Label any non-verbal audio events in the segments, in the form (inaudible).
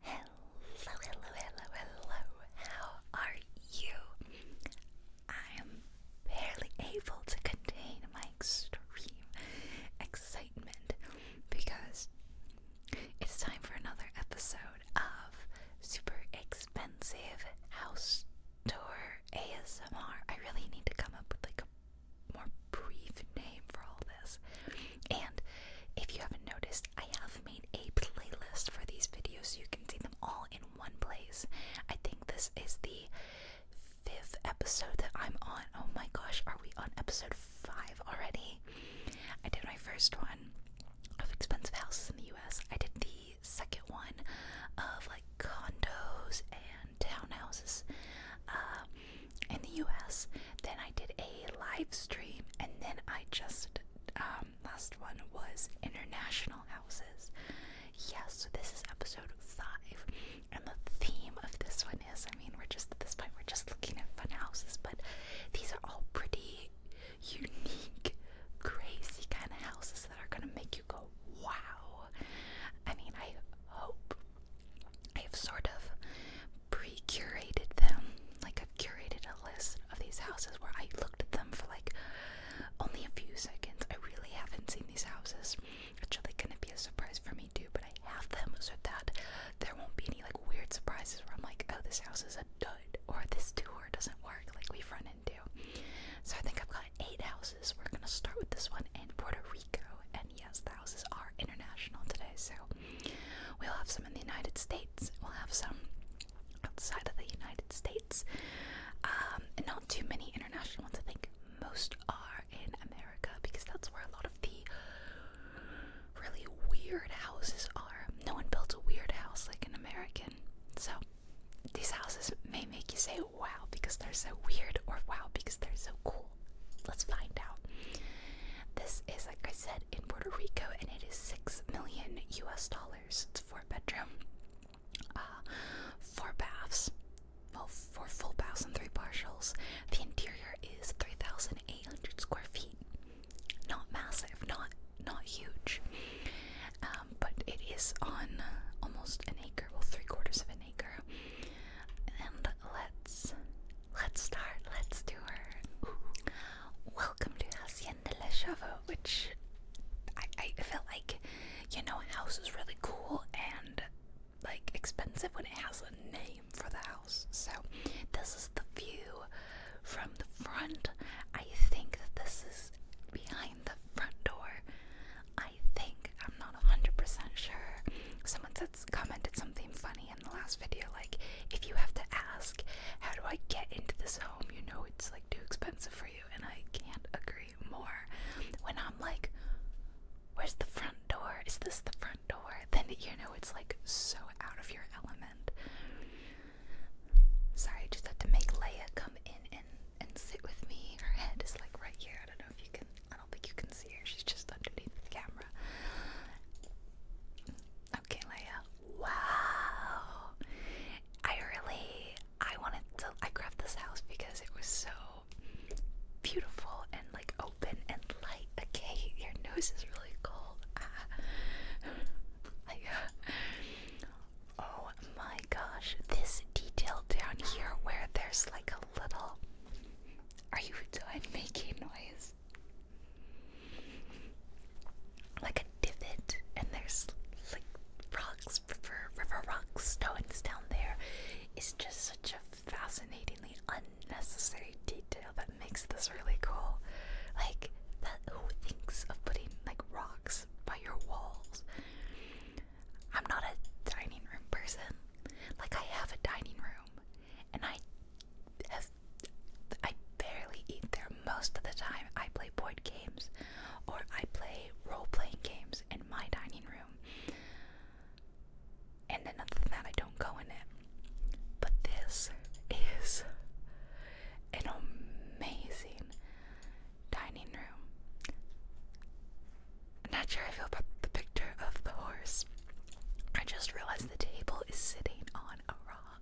Hello, hello, hello, hello. How are you? I am barely able to contain my extreme excitement because it's time for another episode of Super Expensive House Tour ASMR. I really need to come up with like a more brief name for all this. And if you haven't noticed, I have made a playlist for these videos so you can see them all in one place. I think this is the fifth episode that I'm on. Oh my gosh, are we on episode five already? I did my first one of expensive houses in the US. I did the second one of like condos and townhouses. Uh, in the US. Then I did a live stream, and then I just um, last one was international houses. Yes, so this is episode five, and the theme of this one is I mean, we're just at this point, we're just looking at fun houses, but these are all pretty unique, crazy kind of houses that are gonna make you go, wow. I mean, I hope I've sort of pre curated them. Like, I've curated a list of these houses where I looked at them for like only a few seconds. I really haven't seen these houses. It's really gonna be a surprise for me too, but I have them so that there won't be any like weird surprises where I'm like, oh, this house is a dud or this tour doesn't work like we've run into. So I think I've got eight houses. We're gonna start with this one in Puerto Rico, and yes, the houses are international today, so We'll have some in the United States. We'll have some outside of the United States. Um, and not too many international ones. I think most are in America because that's where a lot of the really weird houses are. No one builds a weird house like an American. So these houses may make you say wow because they're so weird or wow because they're so cool. Let's find out. This is like I said, in Puerto Rico, and it is six million U.S. dollars. It's four bedroom, uh, four baths, well, four full baths and three partials. The interior is three thousand eight hundred square feet. Not massive, not not huge, um, but it is on almost an acre, well, three quarters of an acre. And let's Let's start. Let's do her. Welcome to Hacienda La Chava, which I, I feel like, you know, house is really cool and like expensive when it has a name for the house. So this is the view from the front. I think that this is behind the front door. I think I'm not 100% sure. Someone commented something funny in the last video, like if you have to ask, how do I get into this home? You know it's like too expensive for you, and I can't agree more. When I'm like, where's the front door? Is this the front door? Then you know it's like so out of your element. Sorry, I just had to make Leia come in and and sit with me. Her head is like right here. I don't know if you can. I don't think you can see her. She's just underneath the camera. Okay, Leia. Wow. I really I wanted to I grabbed this house because it was so beautiful and like open and light. Okay, your nose is really cold. (laughs) oh my gosh, this detail down here where there's like a little Are you done making noise? like a divot, and there's like rocks, for river rocks, stones down there. It's just such a fascinatingly unnecessary detail that makes this really cool. Like that, who thinks of putting like rocks by your walls? I'm not a dining room person. Like I have a dining room and I have I barely eat there most of the time. I play board games or I play role playing games in my dining room. And then other than that I don't go in it. But this is an amazing dining room. I'm not sure I feel about the picture of the horse. I just realized the table is sitting on a rock.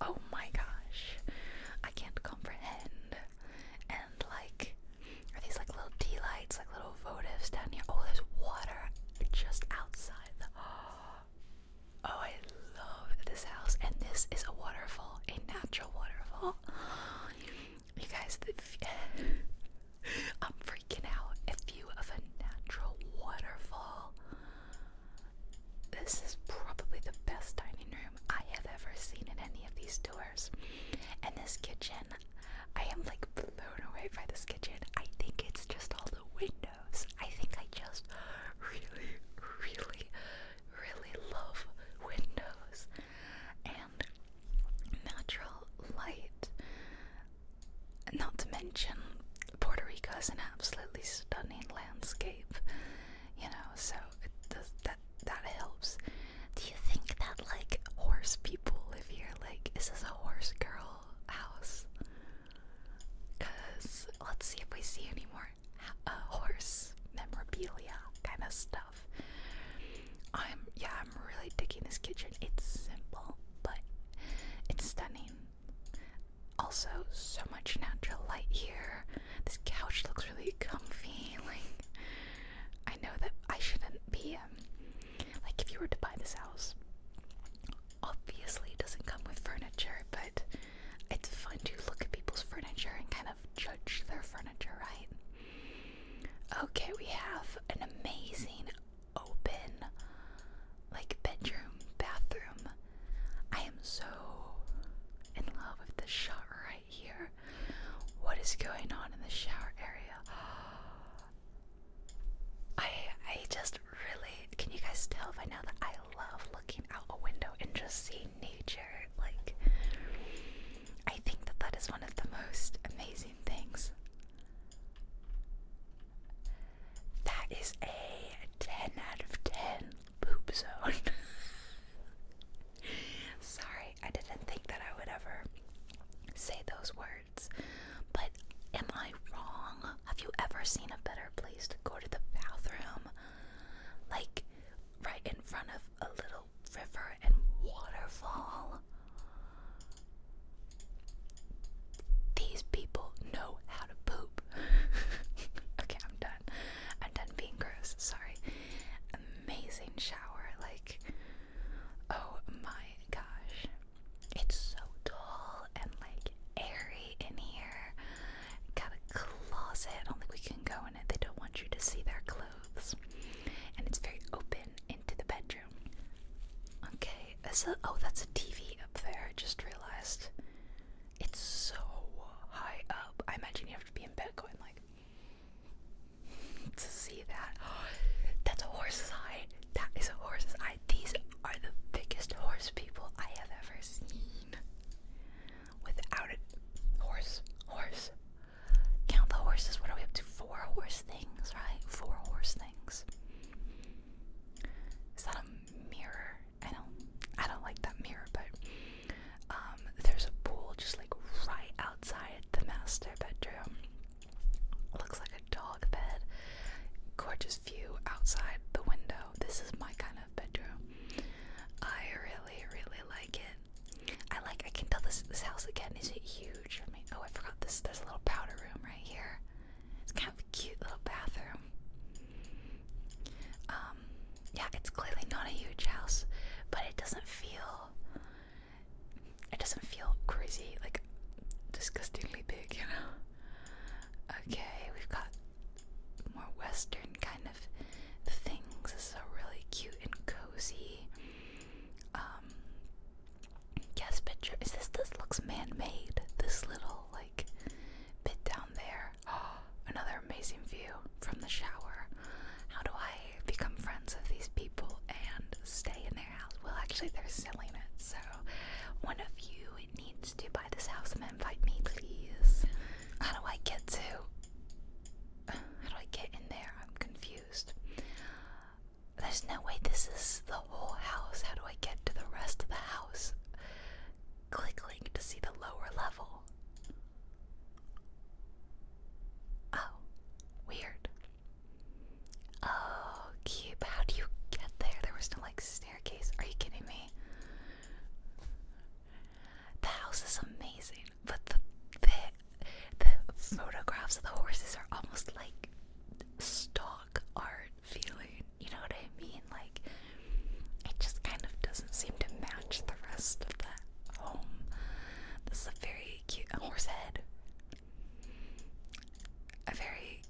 Oh my gosh. I can't comprehend. And like, are these like little tea lights, like little votives down here? Oh, there's water just outside (gasps) Oh, I love this house. And this is a waterfall, a natural waterfall. (gasps) You guys, (laughs) I'm freaking out. A view of a natural waterfall. This is probably the best dining room I have ever seen in any of these tours. And this kitchen, I am like blown away by this kitchen. I think it's just all the windows. I think I just really, really, really love windows and natural light. Not to mention, Puerto Rico is an absolutely stunning landscape, you know, so it does, that that helps. Do you think that like horse people live here? Like, is this a horse girl house? Cause let's see if we see any more uh, horse memorabilia kind of stuff. I'm yeah, I'm really digging this kitchen. It's simple, but it's stunning. Also, so much natural light here. This couch looks really comfy. (laughs) Like, I know that I shouldn't be. Um, like, if you were to buy this house, obviously it doesn't come with furniture, but it's fun to look at people's furniture and kind of judge their furniture, right? Okay, we have an amazing open like bedroom, bathroom. I am so in love with this shot right here. What is going on in the shower area? I I just really can you guys tell by now that I love looking out a window and just seeing nature? Like I think that that is one of the most amazing things. That is a 10 out of 10 poop zone. (laughs) Sorry, I didn't think that I would ever say those words. But am I wrong? Have you ever seen a better place to go to the bathroom? Like right in front of a little river and waterfall? These people know how to poop. (laughs) okay, I'm done. I'm done being gross. Sorry. Amazing shower. Like, oh my gosh. It's so tall and like airy in here. Got a closet. I don't think we can go in it. They don't want you to see their clothes. And it's very open into the bedroom. Okay, Oh, that's a TV up there. I just realized. It's so high up. I imagine you have to be in bed going like (laughs) to see that. (gasps) that's a horse's eye. That is a horse's eye. These are the biggest horse people I have ever seen. Without a horse, horse. Count the horses. What are we up to? Four horse things, right? Four horse things. Is that a mirror. I don't I don't like that mirror, but um there's a pool just like right outside the master bedroom. Looks like a dog bed. Gorgeous view outside the window. This is my kind of bedroom. I really, really like it. I like I can tell this this house again. Is huge? I mean oh I forgot this there's a little powder room right here. It's kind of a cute little bathroom. Um, yeah, it's clearly not a huge house, but it doesn't feel it doesn't feel crazy, like disgustingly big, you know. Okay, we've got more western kind of things. This is a really cute and cozy um guest picture. Is this this looks man made, this little like bit down there. (gasps) another amazing view from the shower. How do I become friends with these people and stay in their house? Well, actually, they're selling it, so one of you needs to buy this house and invite me, please. How do I get to. How do I get in there? I'm confused. There's no way this is the whole house. How do I get to the rest of the house? Click link to see the lower level. Oh, weird. Oh, cute. How do you get there? There was no like staircase. Are you kidding me? The house is amazing, but the the, the photographs of the horses are almost like stock art feeling. You know what I mean? Like, it just kind of doesn't seem to match the rest of the home. This is a very cute horse head. A very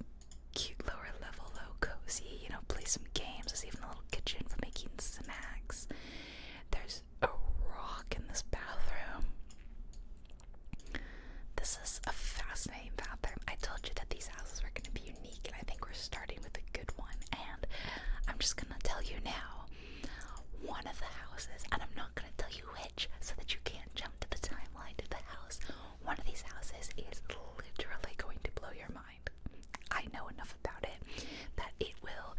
cute lower level, though, cozy. You know, play some games. There's even a little kitchen for making snacks. There's a rock in this bathroom. This is a fascinating bathroom. I told you that these houses were going to be unique, and I think we're starting with a good one. And I'm just going to tell you now one of the houses, and I'm not going to tell you which so that you can't jump to the timeline of the house. One of these houses is literally going to blow your mind. I know enough about it that it will.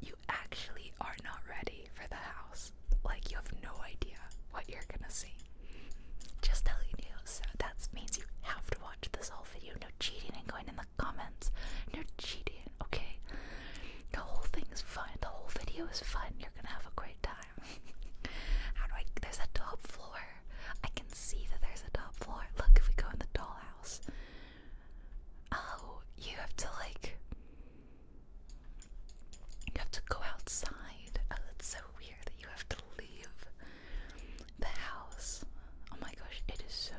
You actually are not ready for the house. Like, you have no idea what you're gonna see. Just telling you So that means you have to watch this whole video. No cheating and going in the comments. No cheating, okay? The whole thing is fun. The whole video is fun. You're gonna have a great time. (laughs) How do I? There's a top floor. I can see that there's a top floor. Look, if we go in the dollhouse. Oh, you have to like. You have to go outside. Oh, that's so weird that you have to leave the house. Oh my gosh, it is so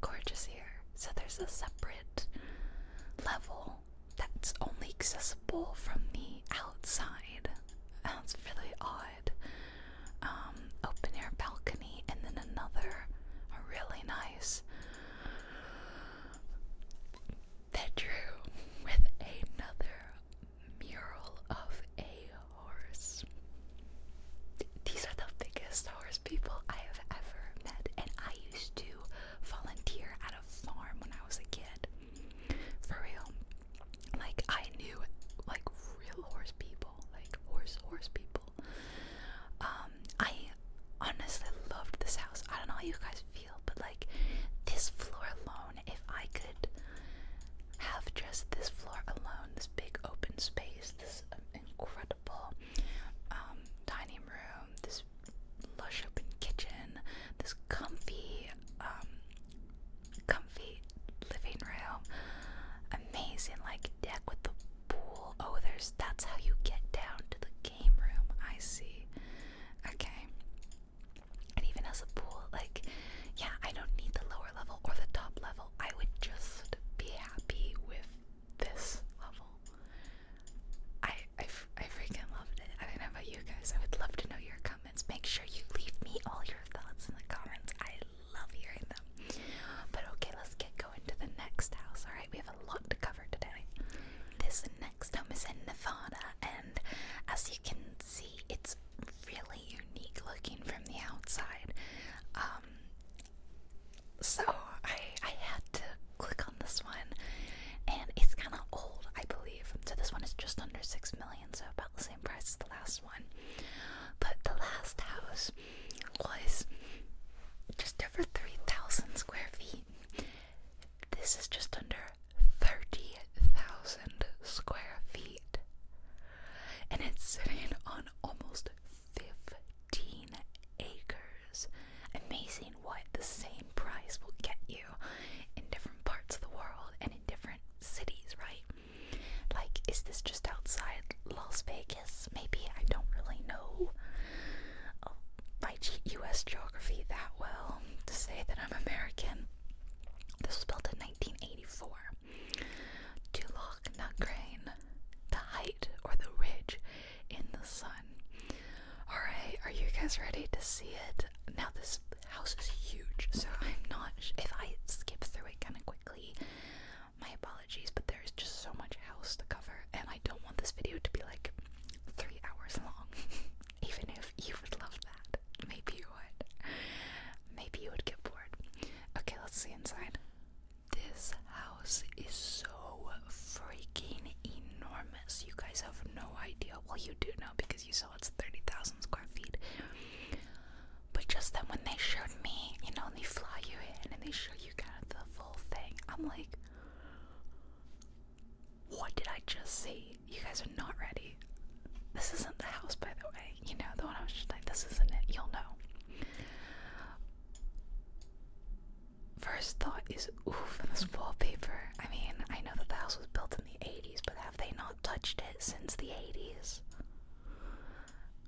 gorgeous here. So there's a separate level that's only accessible from the outside. That's really odd. Um, open air balcony, and then another really nice bedroom with another mural of a horse. These are the biggest horse people I have ever met, and I used to volunteer at a farm when I was a kid. For real. Like, I knew, like, real horse people. Like, horse, horse people. Um, I honestly loved this house. I don't know how you guys feel, but, like, this floor alone, if I could have just this floor alone, this big open space, this um, incredible um, dining room, this lush open kitchen, this comfy, um, comfy living room, amazing like deck with the pool. Oh, there's that's how you get down to the game room. I see. Okay, and even as a pool, like, yeah, I don't need the lower level or the top level. I would just be happy with this level. I, I, I freaking loved it. I don't know about you guys. I would love to know your comments. Make sure you leave me all your thoughts in the comments. I love hearing them. But okay, let's get going to the next house. All right, we have a lot to cover today. This next home is in Nevada, and as you can see, it's really unique looking from the outside. Um, so I I had to click on this one, and it's kind of old, I believe. So this one is just under six million, so about the same price as the last one. But the last house was just over three thousand square feet. This is just under 30,000 square feet. And it's sitting on almost 15 acres. Amazing what the same price will get you in different parts of the world and in different cities, right? Like, is this just outside Las Vegas? Maybe I don't really know. I cheat U.S. geography that well to say that I'm American. This was built in 1984. To look not grain, the height or the ridge in the sun. Alright, are you guys ready to see it? Now, this house is huge, so I'm not. If I skip through it kind of quickly, my apologies, but there's just so much house to cover, and I don't want this video to be like three hours long. (laughs) Even if you would love that. Maybe you would. Maybe you would get bored. Okay, let's see inside. This house is so freaking enormous. You guys have no idea. Well, you do now because you saw it's 30,000 square feet. But just then when they showed me, you know, and they fly you in and they show you kind of the full thing, I'm like, what did I just see? You guys are not ready. This isn't the house, by the way. You know, the one I was just like, this isn't it. You'll know. First thought is, oof, this wallpaper. I mean, I know that the house was built in the 80s, but have they not touched it since the 80s?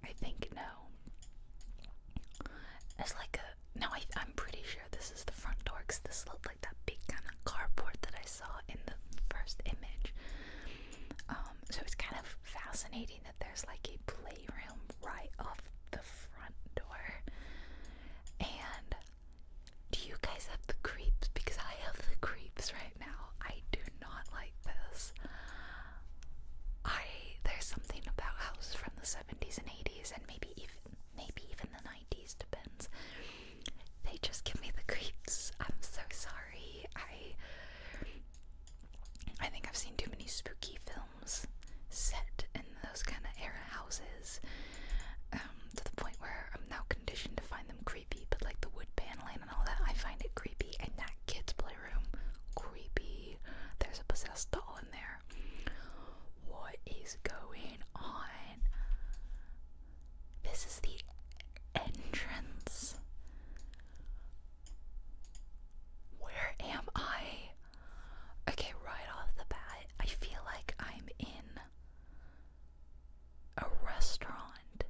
I think no. It's like a. No, I, I'm pretty sure this is the front door because this looked like that big kind of carport that I saw in the first image. Um, so it's kind of fascinating that there's like a playroom right off the front door. And do you guys have the creeps? Because I have the creeps right now. I do not like this. I there's something about houses from the 70s and 80s and maybe even maybe even the 90s depends they just give me the creeps. I'm so sorry. I I think I've seen too many spooky films set in those kind of era houses um, to the point where I'm now conditioned to find them creepy. But like the wood paneling and all that, I find it creepy. And that kid's playroom, creepy. There's a possessed doll in there. What is going on? This is the entrance. Where am I? Okay, right off the bat, I feel like I'm in a restaurant.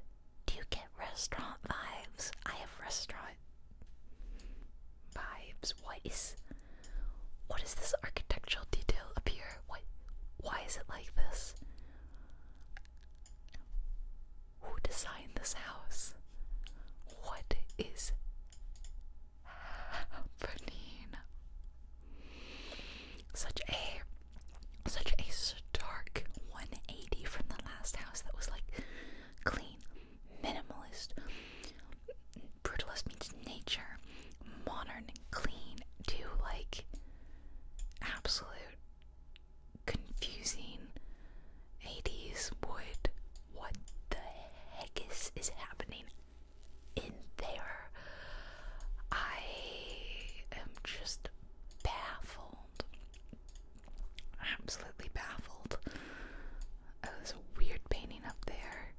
Do you get restaurant vibes? I have restaurant vibes. What is what is this architectural detail up here? What why is it like this? Who designed this house? What is happening? Such a such a stark 180 from the last house that was like clean, minimalist, brutalist meets nature, modern clean to like absolute confusing 80s wood. What the heck is, is happening in there? I am just baffled. Absolutely baffled. Oh, there's a weird painting up there.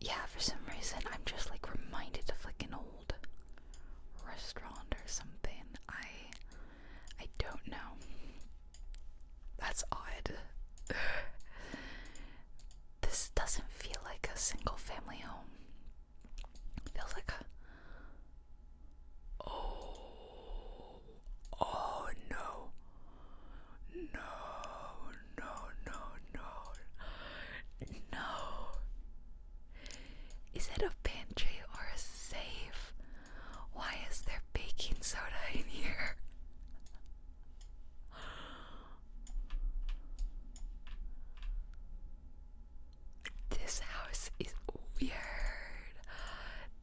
Yeah, for some reason I'm just like reminded of like an old old restaurant or something. I I don't know. That's odd. (sighs) this doesn't feel like a single family home. It feels like a Oh, oh no. No, no, no, no. No. Is it a pantry or a safe? Why is there baking soda (laughs) in here? This house is weird.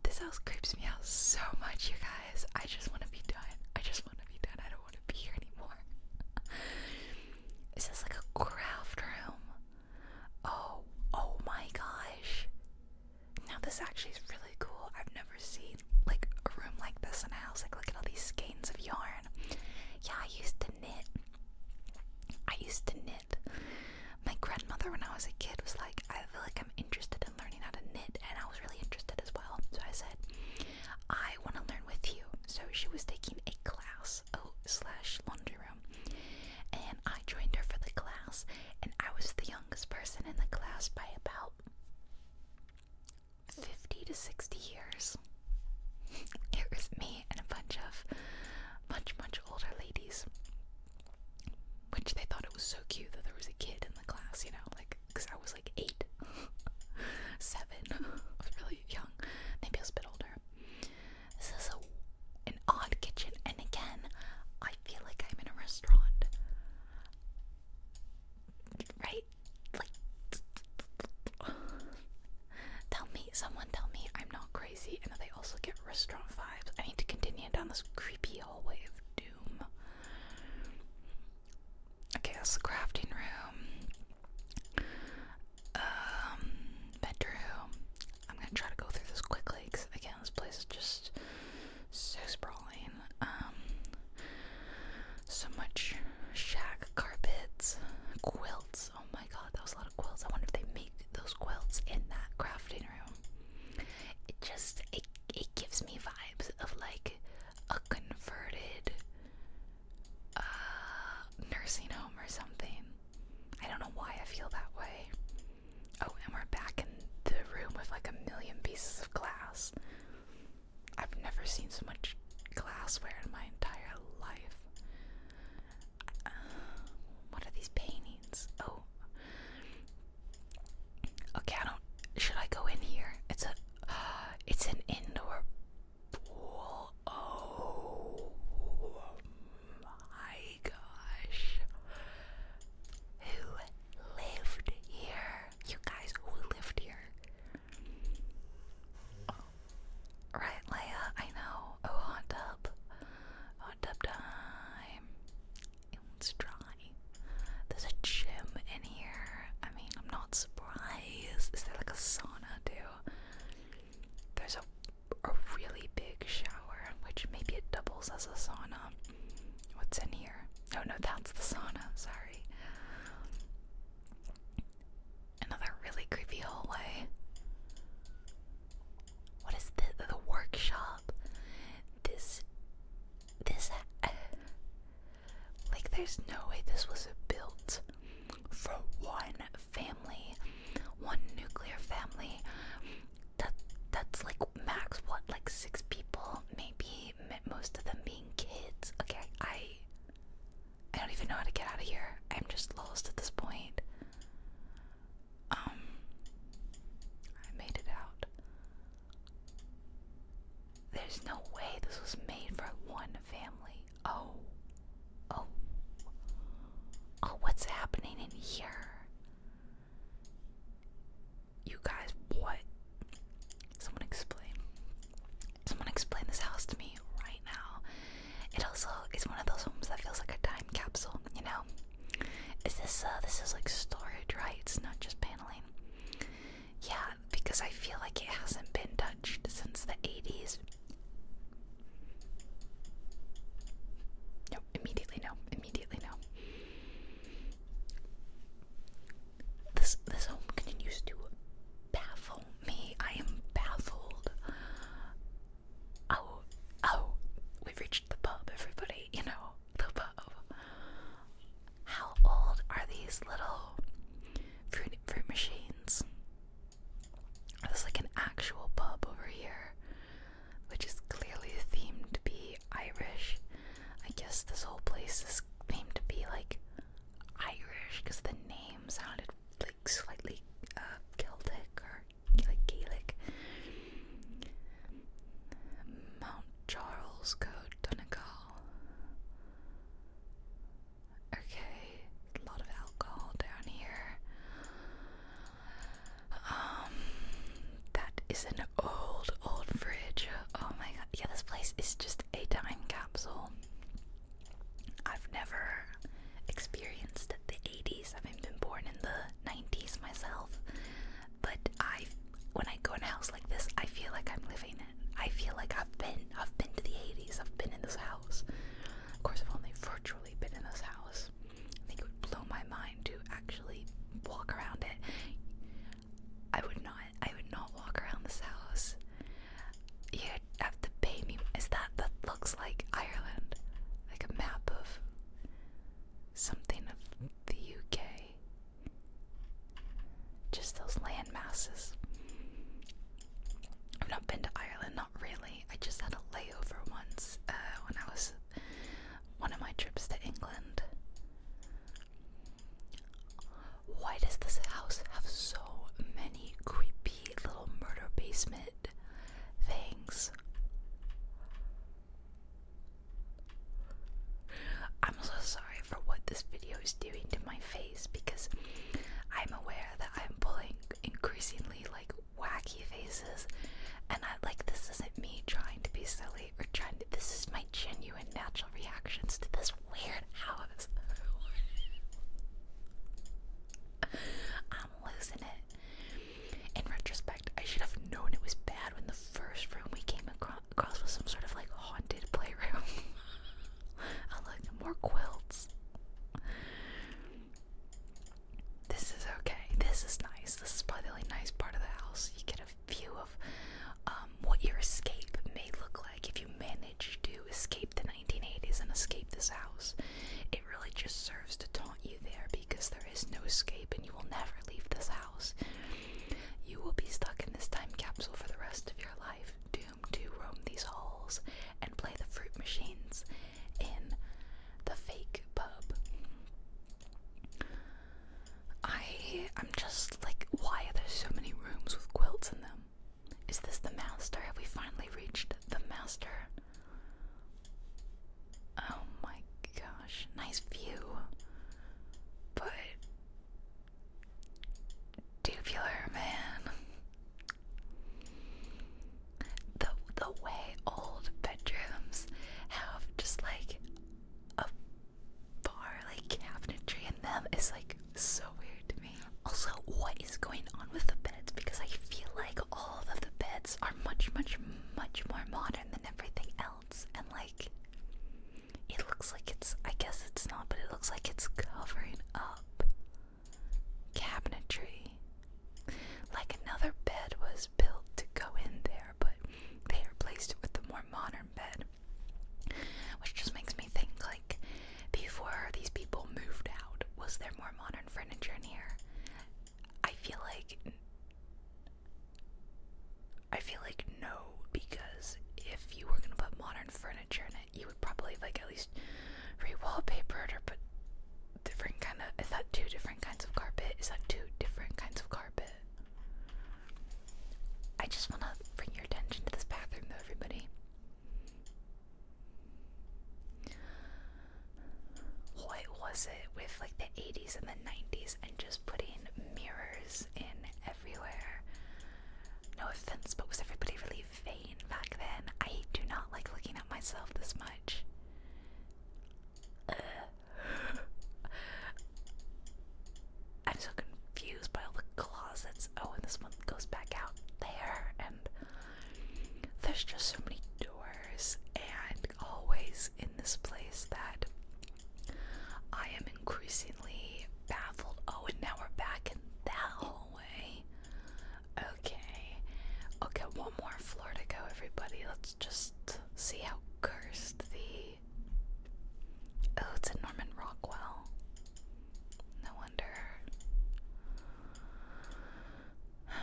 This house creeps me out so much, you guys. I just want to be done. I just want to be done. I don't want to be here anymore. (laughs) is this like a craft room? Oh, oh my gosh. Now this actually is really cool. I've never seen like a room like this in a house. Like look at all these skeins of yarn. Yeah, I used to knit. I used to knit. My grandmother when I was a kid was like, I feel like I'm interested in learning how to knit and I was really interested as well. So I said, I want to learn with you. So she was taking a class, oh slash laundry and I joined her for the class, and I was the youngest person in the class by about 50 to 60 years. (laughs) It was me and a bunch of much, much older ladies. Which they thought it was so cute that there was a kid in the class, you know, like, because I was like eight, (laughs) seven, (laughs) I was really young, maybe a bit older. This is a, an odd kitchen, and again, I feel like I'm in a restaurant. Right? Like, tell me, someone tell me I'm not crazy and that I also get restaurant vibes. I need to continue down this creepy hallway of doom. Okay, it's the crafting room um, I'm gonna try to go through this quickly because again, this place is just so sprawling. Um, so much shack carpets, quilts. Oh my god, that was a lot of quilts. I wonder if they make those quilts in that crafting room. It just it it gives me vibes of like a converted uh, nursing home or something. I don't know why I feel that way. Oh, and we're back in the room with like a million pieces of glass. I've never seen so much glassware in my entire life. Uh, what are these paintings? Oh. Okay, I don't. Should I go in here? It's a. (gasps) it's an indoor Oh my gosh. Who lived here? You guys, who lived here? Right, Leia, I know. Oh, hot tub. Hot tub time. It's dry. There's a gym in here. I mean, I'm not surprised. Is there like a sauna too? there's a, a really big shower, which maybe it doubles as a sauna. What's in here? Oh no, that's the sauna, sorry. Another really creepy hallway. What is the the workshop? This this (sighs) like there's no way this was built for one family, one nuclear family. That that's like max what like six people, maybe most of them being kids. Okay, I I don't even know how to get out of here. I'm just lost at this point. Um I made it out. There's no way this was made for one family. Oh. Oh. Oh, what's happening in here? You guys, what? Someone explain. Someone explain this house to me right now. It also is one of those homes that feels like a time capsule, you know? Is this uh this is like storage, right? It's not just paneling. Yeah, because I feel like it hasn't been touched since the 80s. Nope. immediately no, immediately no. This this home continues to baffle me. I am baffled. Oh, oh, we've reached the pub, everybody. You know, the pub. How old are these little fruit fruit machines? There's like an actual pub over here, which is clearly themed to be Irish. I guess this whole place is themed to be like Irish because the name sounded like slightly uh, Celtic or like Gaelic. Mount Charles Code Donegal. Okay, a lot of alcohol down here. Um, that is an old, old fridge. Oh my god, yeah, this place is just a time capsule. I've never experienced the 80s. I haven't been born in the 90s myself, but I, when I go in a house like this, I feel like I'm living it. I feel like I've been, I've been to the 80s. I've been in this house. Of course, I've only virtually been in this house. I think it would blow my mind to actually walk around it. I would not. I would not walk around this house. You'd have to pay me. Is that that looks like Ireland? Like a map of something of the UK. Just those land masses. I've not been to Ireland, not really. I just had a layover once uh, when I was one of my trips to England. Why does this house have so many creepy little murder basement things? I'm so sorry for what this video is doing to my face because I'm aware that I'm pulling increasingly like wacky faces and I like this isn't me trying to be silly or trying to this is my genuine natural reactions to this weird house. I'm losing it. In retrospect, I should have known it was bad when the first room we came across, was some sort of like haunted playroom. (laughs) I like more quilts. This is okay. This is nice. This is probably a nice part of the house. You get a view of um, what your escape may look like if you manage to escape the 1980s and escape this house. It really just serves to taunt you there because there is no escape and you will never leave this house. You will be stuck in this time capsule for the rest of your life, doomed to roam these halls and play the fruit machines in the fake pub. I am just like why are there so many rooms with quilts in them? Is this the master? Have we finally reached the master? Oh my gosh, nice view. But tubular man. The the way old bedrooms have just like a bar like cabinetry in them is like so weird to me. Also, what is going on with the beds? Because I feel like all of the beds are much, much, much more modern than everything else, and like it looks like it's I guess it's not, but it looks like it's covering up cabinetry. Like another bed was built to go in there, but they replaced it with a more modern bed. Which just makes me think like before these people moved out, was there more modern furniture in here? I feel like I feel like no, because if you were gonna put modern furniture in it, you would probably like at least re-wallpaper or put different kind of is that two different kinds of carpet? Is that two different kinds of carpet? I just wanna bring your attention to this bathroom though, everybody. What was it with like the 80s and the 90s and just putting mirrors in everywhere? No offense, but was everybody really vain back then. I do not like looking at myself this much. Uh, I'm so confused by all the closets. Oh, and this one goes back out there, and there's just so many doors and always in this place that I am increasingly baffled. Oh, and now we're back in that hallway. Okay. I'll get one more floor to go, everybody. Let's just see how cursed the. Oh, it's a Norman Rockwell. No wonder. (sighs)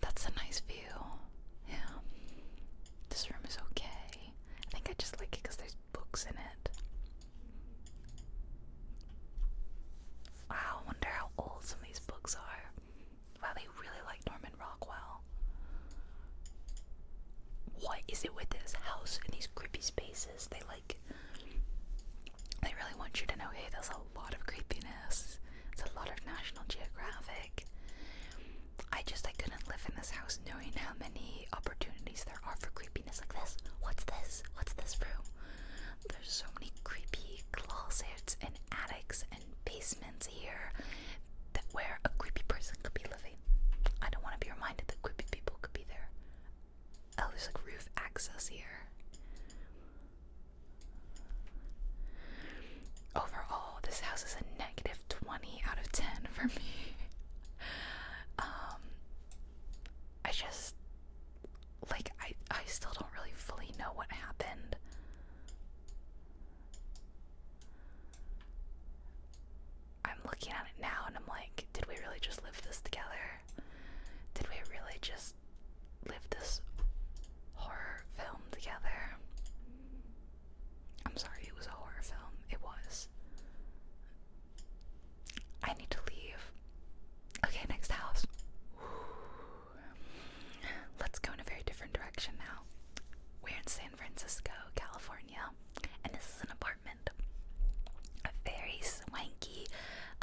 That's a nice view. Yeah. This room is okay. I think I just like it because there's books in it. Wow, I wonder how old some of these books are. Wow, they really like Norman Rockwell. What is it with this house and these creepy spaces? They like. They really want you to know hey, there's a lot of creepiness. It's a lot of National Geographic. I just I couldn't live in this house knowing how many opportunities there are for creepiness like this. What's this? What's this room? There's so many creepy closets and attics and basements here that where a creepy person could be living. I don't want to be reminded that creepy people could be there. Oh, there's like roof access here. Overall, this house is a negative 20 out of 10 for me. (laughs) um, I just like I I still don't really fully know what happened. I'm looking at it now and I'm like, did we really just live this together? Did we really just live this horror film together? I'm sorry, it was a horror film. It was. I need to leave. Okay, next house. Let's go in a very different direction now. We're in San Francisco, California, and this is an apartment. A very swanky,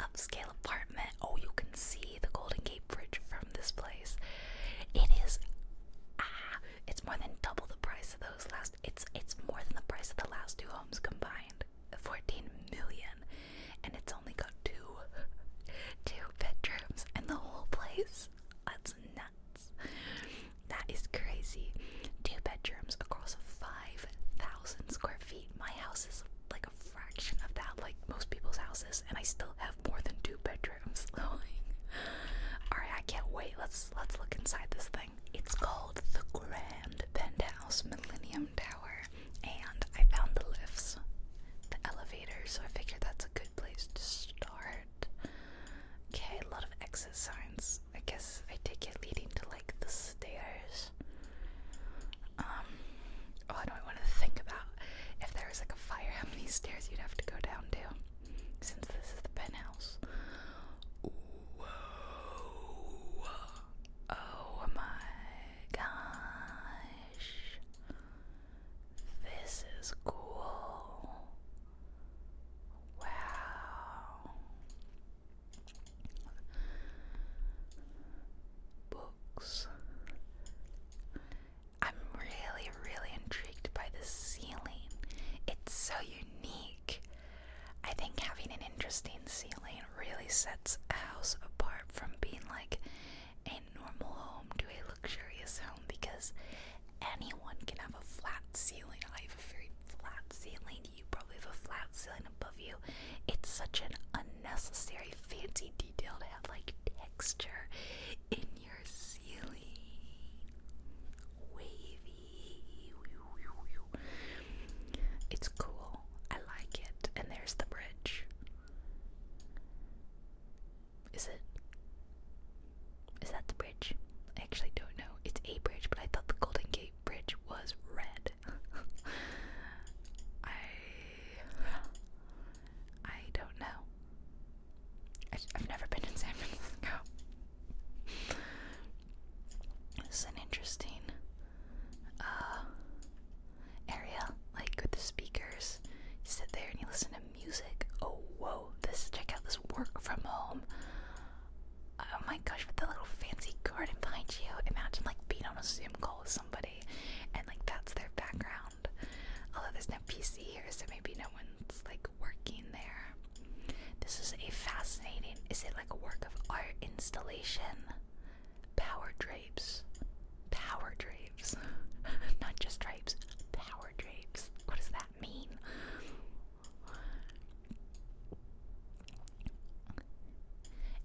upscale apartment. Oh, you can see the Golden Gate Bridge from this place. It is ah, it's more than double the price of those last. It's it's more than the price of the last two homes combined. 14 million and it's only got two two bedrooms and the whole place. That's nuts. That is crazy. Two bedrooms across five thousand square feet. My house is like a fraction of that, like most people's houses, and I still have more than two bedrooms. (laughs) Alright, I can't wait. Let's let's look inside this thing. It's called the Grand Penthouse Millennium tower and I found the lifts, the elevator, so I figured that's a good place to start. Okay, a lot of exit signs. I guess I take it leading to like the stairs. Um, oh, I don't want to think about if there was like a fire, (laughs) how many stairs you'd have to go down to since this is the penthouse. Whoa! Oh my gosh. This is cool. Wow. Books. I'm really, really intrigued by the ceiling. It's so unique. I think having an interesting ceiling really sets a house apart from being like a normal home to a luxurious home because anyone can have a flat ceiling. I have a very flat ceiling. You probably have a flat ceiling above you. It's such an unnecessary fancy detail to have like texture in your ceiling. Wavy. It's cool. I like it. And there's the bridge. Is it? Is that the bridge? I actually don't know. It's a bridge, but I thought the Golden Gate Bridge was red. (laughs) I. I don't know. I, have never been in San Francisco. this is an interesting uh, area, like with the speakers. You sit there and you listen to music. Oh, whoa! This check out this work from home. Oh my gosh! With the little fancy garden behind you. Imagine like being on a Zoom call with somebody, and like that's their background. Although there's no PC here, so maybe no one's like working there. This is a fascinating. Is it like a work of art installation? power drapes. Power drapes. (laughs) Not just drapes, power drapes. What does that mean?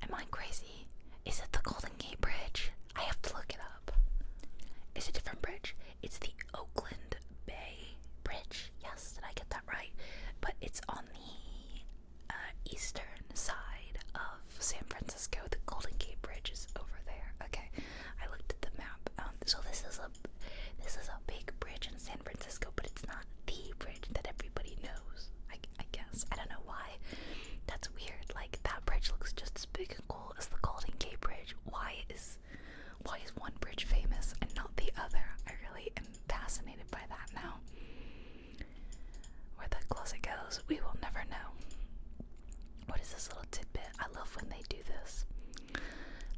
Am I crazy? Is it the Golden Gate Bridge? I have to look it up. It's a different bridge. It's the Oakland Bay Bridge. Yes, did I get that right? But it's on the uh, eastern side of San Francisco. The Golden Gate Bridge is over there. Okay, I looked at the map. Um, so this is a this is a big bridge in San Francisco, but it's not the bridge that everybody knows. I, I guess I don't know why. That's weird. Like that bridge looks just as big and cool as the Golden Gate Bridge. Why is why is one bridge famous and not the other? I really am fascinated by that now. Where that closet goes, we will never know. What is this little tidbit? I love when they do this.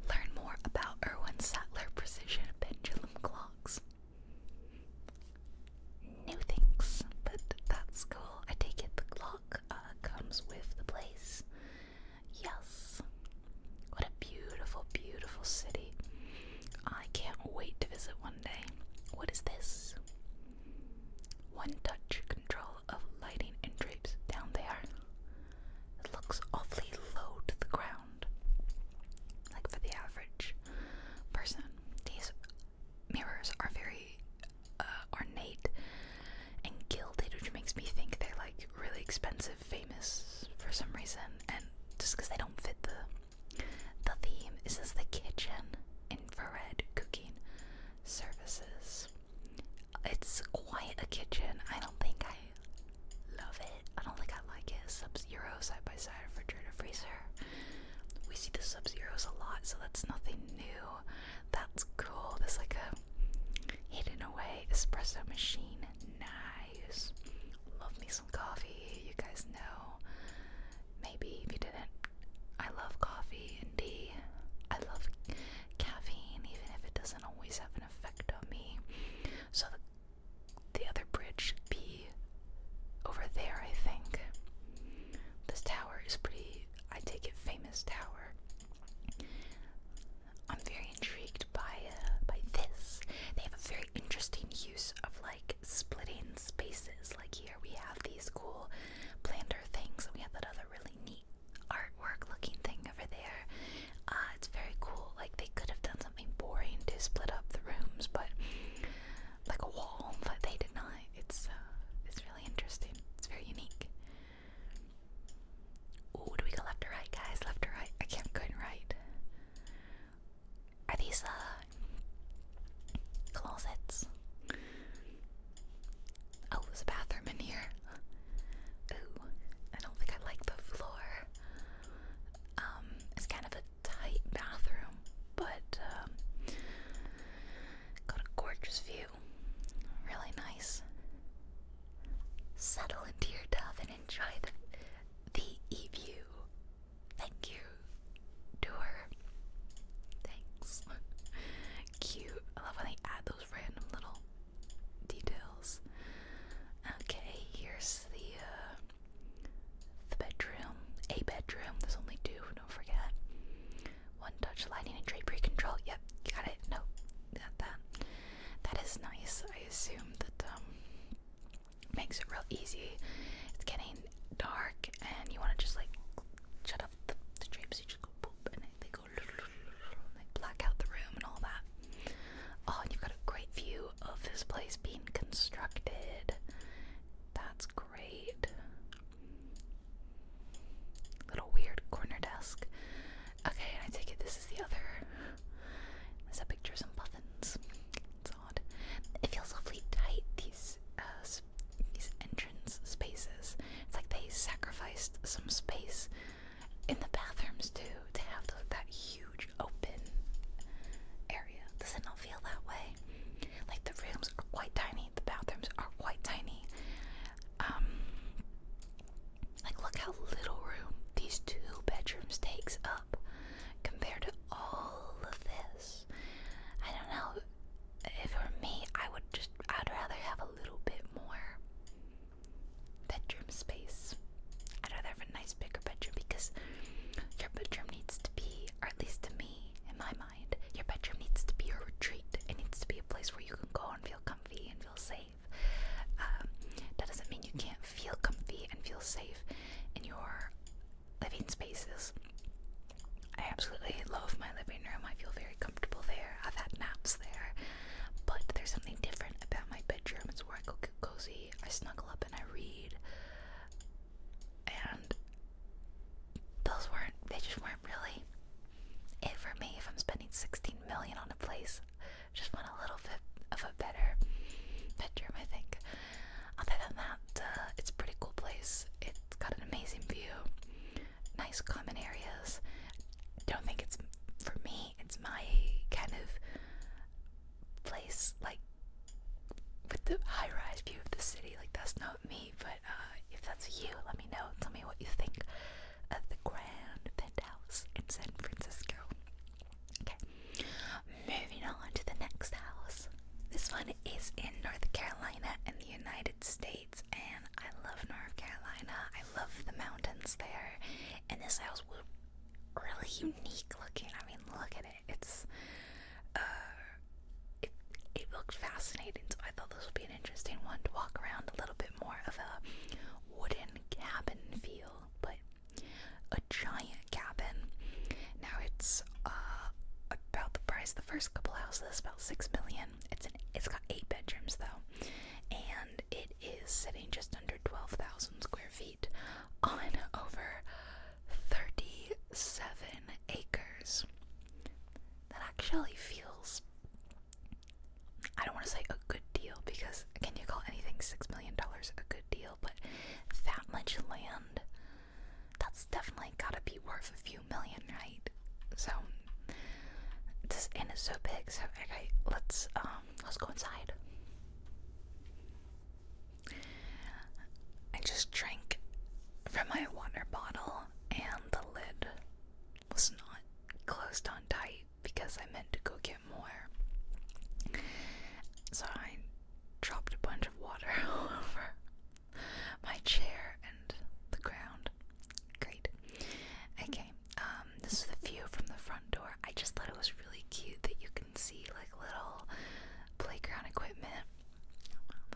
Learn more about Erwin Sattler precision pendulum clocks. New things, but that's cool. I take it the clock uh, comes with the place. Yes. What a beautiful, beautiful city. I can't wait to visit one day. What is this? one-touch control of lighting and drapes down there. It looks awfully low to the ground. Like for the average person, these mirrors are very uh, ornate and gilded, which makes me think they're like really expensive, famous for some reason, and just because they don't fit the the theme. Is the kitchen infrared cooking services. It's quite a kitchen. I don't think I love it. I don't think I like it. Sub Zero side by side refrigerator freezer. We see the Sub Zeros a lot, so that's nothing new. That's cool. There's like a hidden away espresso machine. Nice. Love me some coffee. You guys know Maybe if you didn't. I love coffee and tea. I love caffeine, even if it doesn't always have an effect on me. So the, other bridge should be over there, I think. This tower is pretty, I take it, famous tower. I'm very intrigued by uh, by this. They have a very interesting use of like splitting spaces. Like here we have these cool planter things, and we have that other really neat artwork looking thing over there. Uh, it's very cool. Like they could have done something boring to split up the rooms, but like a wall, but they did not. It's uh, it's really interesting. It's very unique. Ooh, do we go left or right, guys? Left or right? I can't go right. Are these uh, Closets. Oh, there's a bathroom in here. Ooh, I don't think I like the floor. Um, it's kind of a tight bathroom, but um, got a gorgeous view. Really nice. Settle into your dove and enjoy the the e view. Thank you to her. Thanks. (laughs) Cute. I love when they add those random little details. Okay, here's the uh, the bedroom. A bedroom. There's only two. Don't forget. One touch lighting and drapery control. Yep, got it. No, got that. That is nice. I assume that um, makes it real easy. It's getting dark, and you want to just like shut up the, the drapes, you just go boop and they go and they black out the room and all that. Oh, and you've got a great view of this place being constructed. That's great. Little weird corner desk. Okay, and I take it this is the other. There's a picture of some puffins. It's odd. It feels awfully tight, these uh, these entrance spaces. It's like they sacrificed some space in the bathrooms too to have the, that huge open area. Does it not feel that way? Like the rooms are quite tiny, the bathrooms are quite tiny. Um, like look how little room these two bedrooms takes up compared to all of this. I don't know if for me, I would just I'd rather have a little bit more bedroom space. I'd rather have a nice bigger bedroom because your bedroom needs to be, or at least to me, in my mind, your bedroom needs to be a retreat. It needs to be a place where you can go and feel comfy and feel safe. Um, that doesn't mean you can't feel comfy and feel safe in your living spaces. I absolutely love my living room. I feel very comfortable there. I've had naps there. But there's something different about my bedroom. It's where I go cozy, I snuggle up, and I read. And those weren't, they just weren't really it for me. If I'm spending 16 million on a place, just want a little bit of a better bedroom, I think. Other than that, uh, it's a pretty cool place. It it's got an amazing view, nice common areas. Don't think it's for me. It's my kind of place, like with the high-rise view of the city. Like that's not me. But uh, if that's you, let me know. Tell me what you think of the grand penthouse in San Francisco. Okay, moving on to the next house this. one is in North Carolina in the United States, and I love North Carolina. I love the mountains there, and this house was really unique looking. I mean, look at it. It's uh, it it looked fascinating. So I thought this would be an interesting one to walk around a little bit more of a wooden cabin feel, but a giant cabin. Now it's uh, about the price. The first couple houses about six million. It's an it's got eight bedrooms though, and it is sitting just under twelve thousand square feet on over thirty-seven acres. That actually feels I don't want to say a good deal because can you call anything six million dollars a good deal? But that much land that's definitely gotta be worth a few million, right? So this and is so big, so okay, let's um let's go inside. I just drank from my water bottle and the lid was not closed on tight because I meant to go get more. So I dropped a bunch of water all (laughs) over my chair and the ground. Great. Okay, um, this is the view from the front door. I just thought it was really cute that you can see like little playground equipment.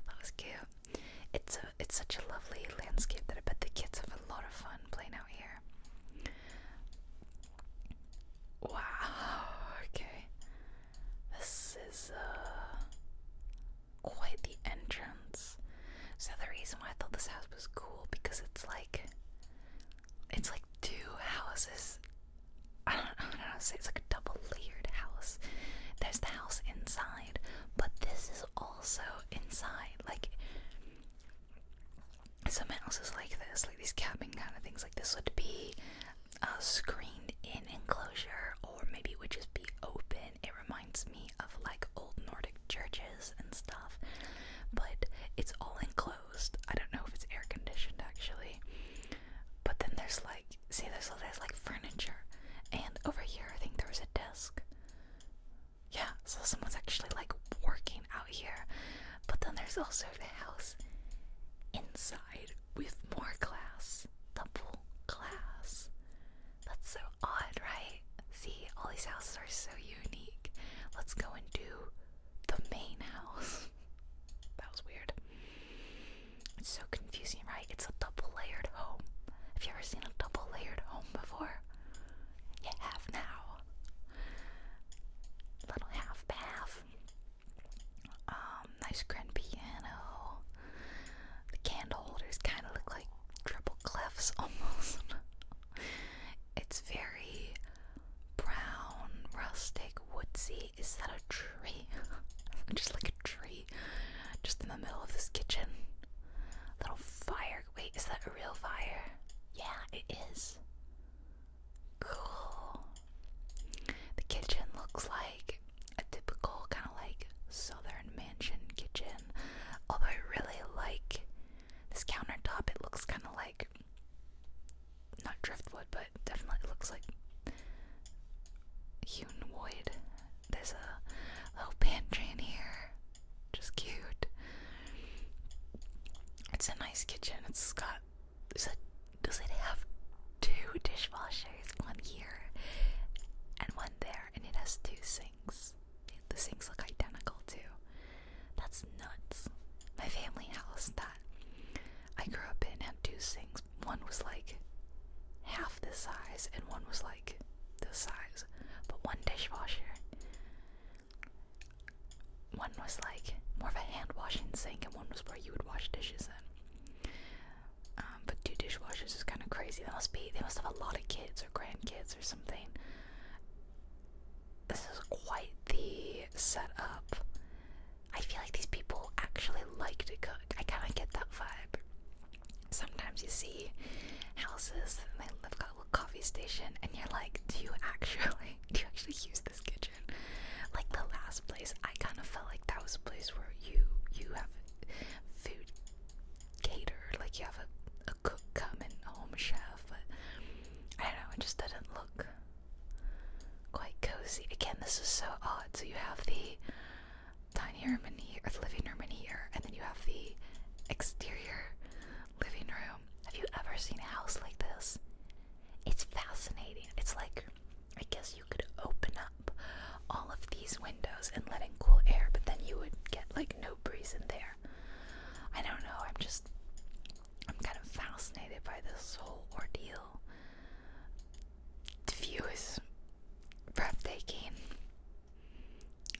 That was cute. It's a it's such a lovely landscape that I bet the kids have a lot of fun playing out here. Wow. (laughs) Okay. This is uh quite the entrance. So the reason why I thought this house was cool because it's like it's like two houses. (laughs) I don't, know it's like a double layered house. There's the house inside, but this is also inside. Like some houses like this, like these cabin kind of things, like this would be a uh, screened in enclosure, or maybe it would just be open it reminds me of like old Nordic churches and stuff, but it's all enclosed. I don't know if it's air conditioned actually. But then there's like, see, there's, there's like furniture, and over here I think there was a desk. Yeah, so someone's actually like working out here. But then there's also the house inside with more glass, double glass. That's so odd, right? See, all these houses are so unique. Let's go and do the main house. (laughs) that was weird. It's so confusing, right? It's a double layered home. Have you ever seen a double layered home before? You now. Little half bath. Um, nice grand piano. The candle holders kind of look like triple clefs (laughs) almost. it's very brown, rustic, woodsy. Is that a tree? (laughs) Just like a tree, just in the middle of this kitchen. Little fire. Wait, is that a real fire? Yeah, it is. Cool. The kitchen looks like a typical kind of like southern mansion kitchen. Although I really like this countertop, it looks kind of like not driftwood, but definitely looks like hewn wood. There's a little pantry in here, just cute. It's a nice kitchen. It's got. does it have two dishwashers? One here and one there and it has two sinks. The sinks look identical too. That's nuts. My family house that I grew up in had two sinks. One was like half this size and one was like this size. But one dishwasher. One was like more of a hand washing sink and one was where you would wash dishes in. Um, but two dishwashers is kind of crazy. They must be. They must have a lot of kids or grandkids or something. This is quite the setup. I feel like these people actually like to cook. I kind of get that vibe. Sometimes you see houses and they've got a little coffee station, and you're like, "Do you actually? (laughs) Do you actually use this kitchen?" Like the last place, I kind of felt like that was a place where you you have food cater, like you have a, a cook coming home chef, but I don't know, it just doesn't look quite cozy. Again, this is so odd. So you have the dining room in here, or the living room in here, and then you have the exterior living room. Have you ever seen a house like this? It's fascinating. It's like, I guess you could open up all of these windows and let in cool air, but then you would get like no breeze in there. I don't know, I'm just I'm kind of fascinated by this whole ordeal. The view is breathtaking.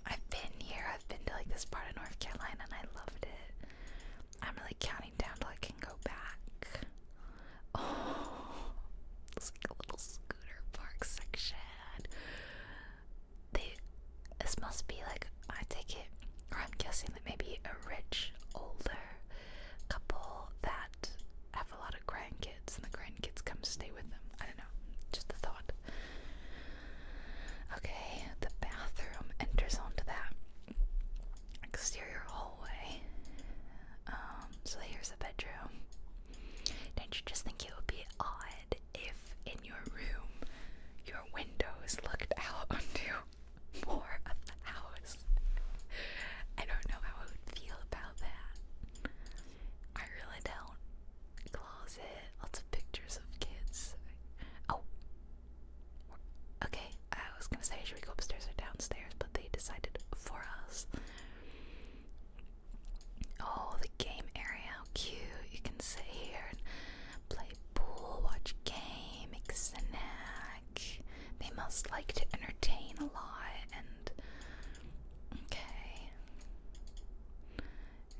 I've been here, I've been to like this part of North Carolina and I loved it. I'm really counting down till I can go back. it's like a little scooter park section this must be like, I take it, or I'm guessing that maybe a rich, older couple that have a lot of grandkids and the grandkids come stay with them. I don't know, just the thought. Okay, the bathroom enters onto that exterior hallway. Um, so here's a bedroom. Don't you just think it would be odd if in your room your windows looked out (laughs) onto more of the house? I don't know how I would feel about that. I really don't. Closet, lots of pictures of kids. Oh, okay. I was gonna say, should we go upstairs or downstairs? But they decided for us. Oh, the game area, cute. You can sit here and play pool, watch game, make a snack. They must like to entertain a lot and okay.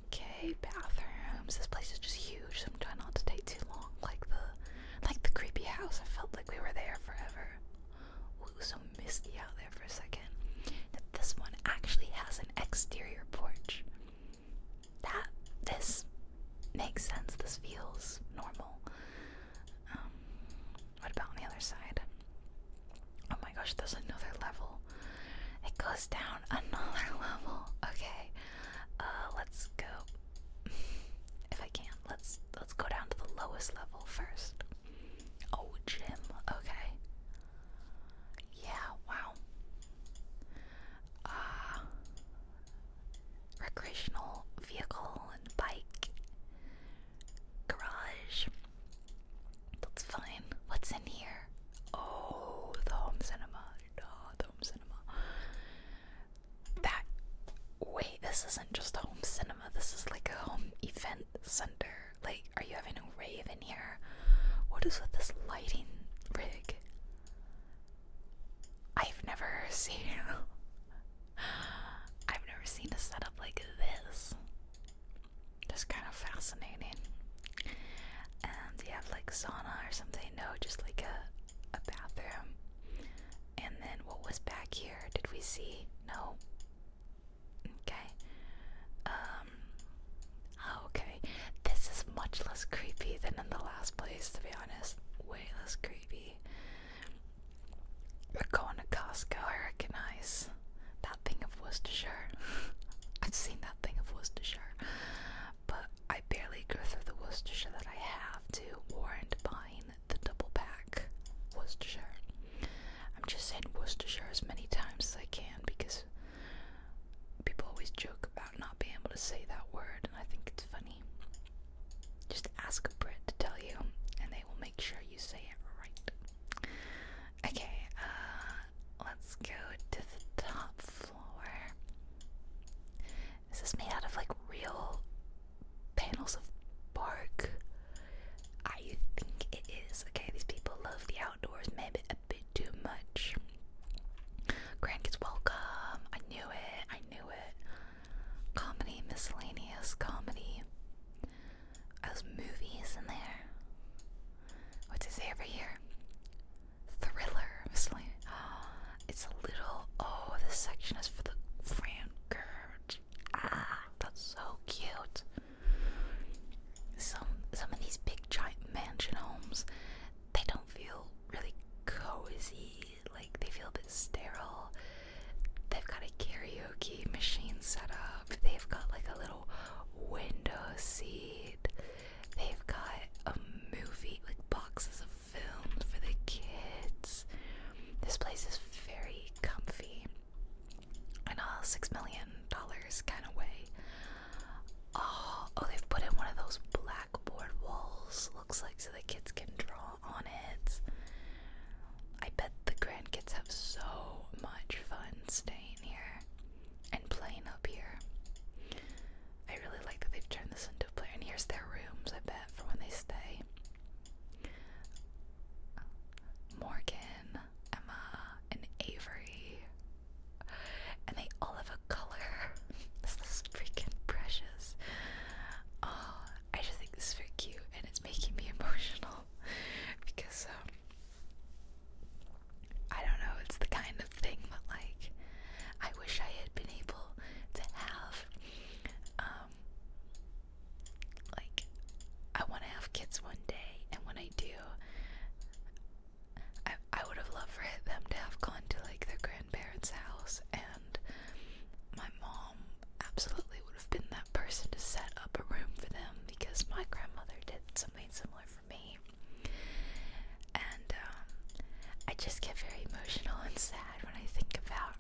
Okay, bathrooms. This place is just huge, so I'm trying not to take too long. Like the like the creepy house. I felt like we were there forever. Ooh, so misty out there for a second. That this one actually has an exterior porch. That this makes sense. This feels normal. Um, what about on the other side? Oh my gosh, there's another level. It goes down another (laughs) level. Okay, uh, let's go. If I can, let's let's go down to the lowest level first. Oh, gym. Okay, yeah, wow. Uh, recreational vehicle and bike. Garage. That's fine. What's in here? Oh, the home cinema. No, the home cinema. That. Wait, this isn't just a home cinema, this is like a home event center. Like, are you having a rave in here? What is with this lighting rig? I've never seen. (laughs) I've never seen a setup like this. That's kind of fascinating. And you have like sauna or something? No, just like a a bathroom. And then what was back here? Did we see? No. Okay. Um. Oh, okay. This is much less creepy than in the last place, to be honest. Way less creepy. going to Costco, I recognize. That thing of Worcestershire. (laughs) I've seen that thing of Worcestershire. But I barely go through the Worcestershire that I have to warrant buying the double pack Worcestershire. I'm just saying Worcestershire as many times as I can because people always joke about not being able to say that word, and I think it's funny. Just ask a Brit to tell you, and they will make sure you say it right. Okay, uh, let's go to the top floor. Is made out of like real panels of bark? I think it is. Okay, these people love the outdoors maybe a bit too much. Grandkids welcome. I knew it. I knew it. Comedy, miscellaneous comedy. Those movies in there. What's it say over here? Thriller. Miscellaneous. (gasps) it's a little. Oh, this section is for the Frankert. Ah, that's so cute. Some some of these big giant mansion homes, they don't feel really cozy. Like they feel a bit sterile. They've got a karaoke machine set up. They've got like a little window seat. They've got a movie, like boxes of films for the kids. This place is very comfy in a six million dollars kind of way. Oh, oh, they've put in one of those blackboard walls. Looks like so the kids can draw on it. I bet the grandkids have so much fun staying here and playing up here. I really like that they've turned this into a play. And here's their rooms, I bet, for when they stay. Morgan, Emma, and Avery. And they all have a color. (laughs) this is freaking precious. Oh, I just think this is cute and it's making me (laughs) emotional because um, I don't know, it's the kind of thing but like I wish I had been able to have um, like I want to have kids one day, and when I do, I I would have loved for them to have gone to like their grandparents' house, and my mom absolutely would have been that person to set up a room for them because my grandmother did something similar for me, and um, I just get very emotional and sad when I think about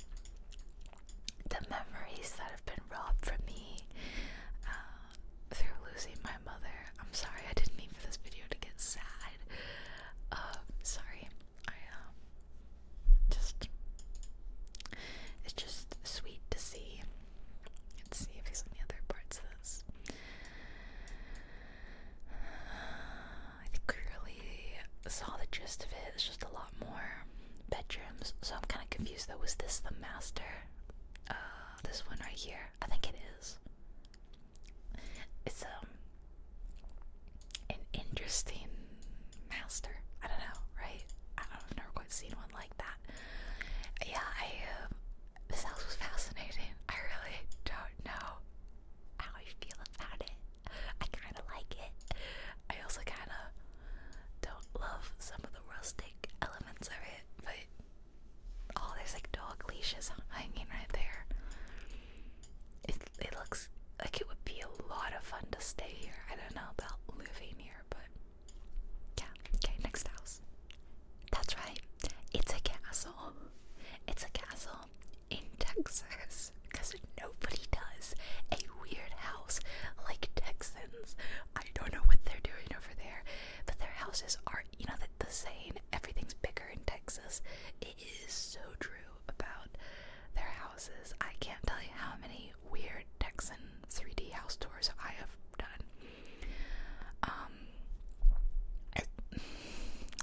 the memories that have been robbed from me. Um, through losing my mother. I'm sorry I didn't mean for this video to get sad. Uh, sorry. I um just it's just sweet to see. Let's see if there's any other parts of this. I think we really saw the gist of it. It's just a lot more bedrooms. So I'm kind of confused though. Was this the master? Uh, this one right here. I think it is. It's um an interesting master. I don't know, right? I don't, I've never quite seen one like that. Yeah, I. Um, this house was fascinating. I really don't know how I feel about it. I kind of like it. I also kind of don't love some of the rustic elements of it, but oh, there's like dog leashes hanging right there. It it looks like it would be a lot of fun to stay here. I don't know about living here, but yeah. Okay, next house. That's right. It's a castle. It's a castle in Texas because nobody does a weird house like Texans I don't know what they're doing over there, but their houses are, you know, the, the saying everything's bigger in Texas. It is so true about their houses. I can't tell you how many weird Texan 3D house tours I have done. Um,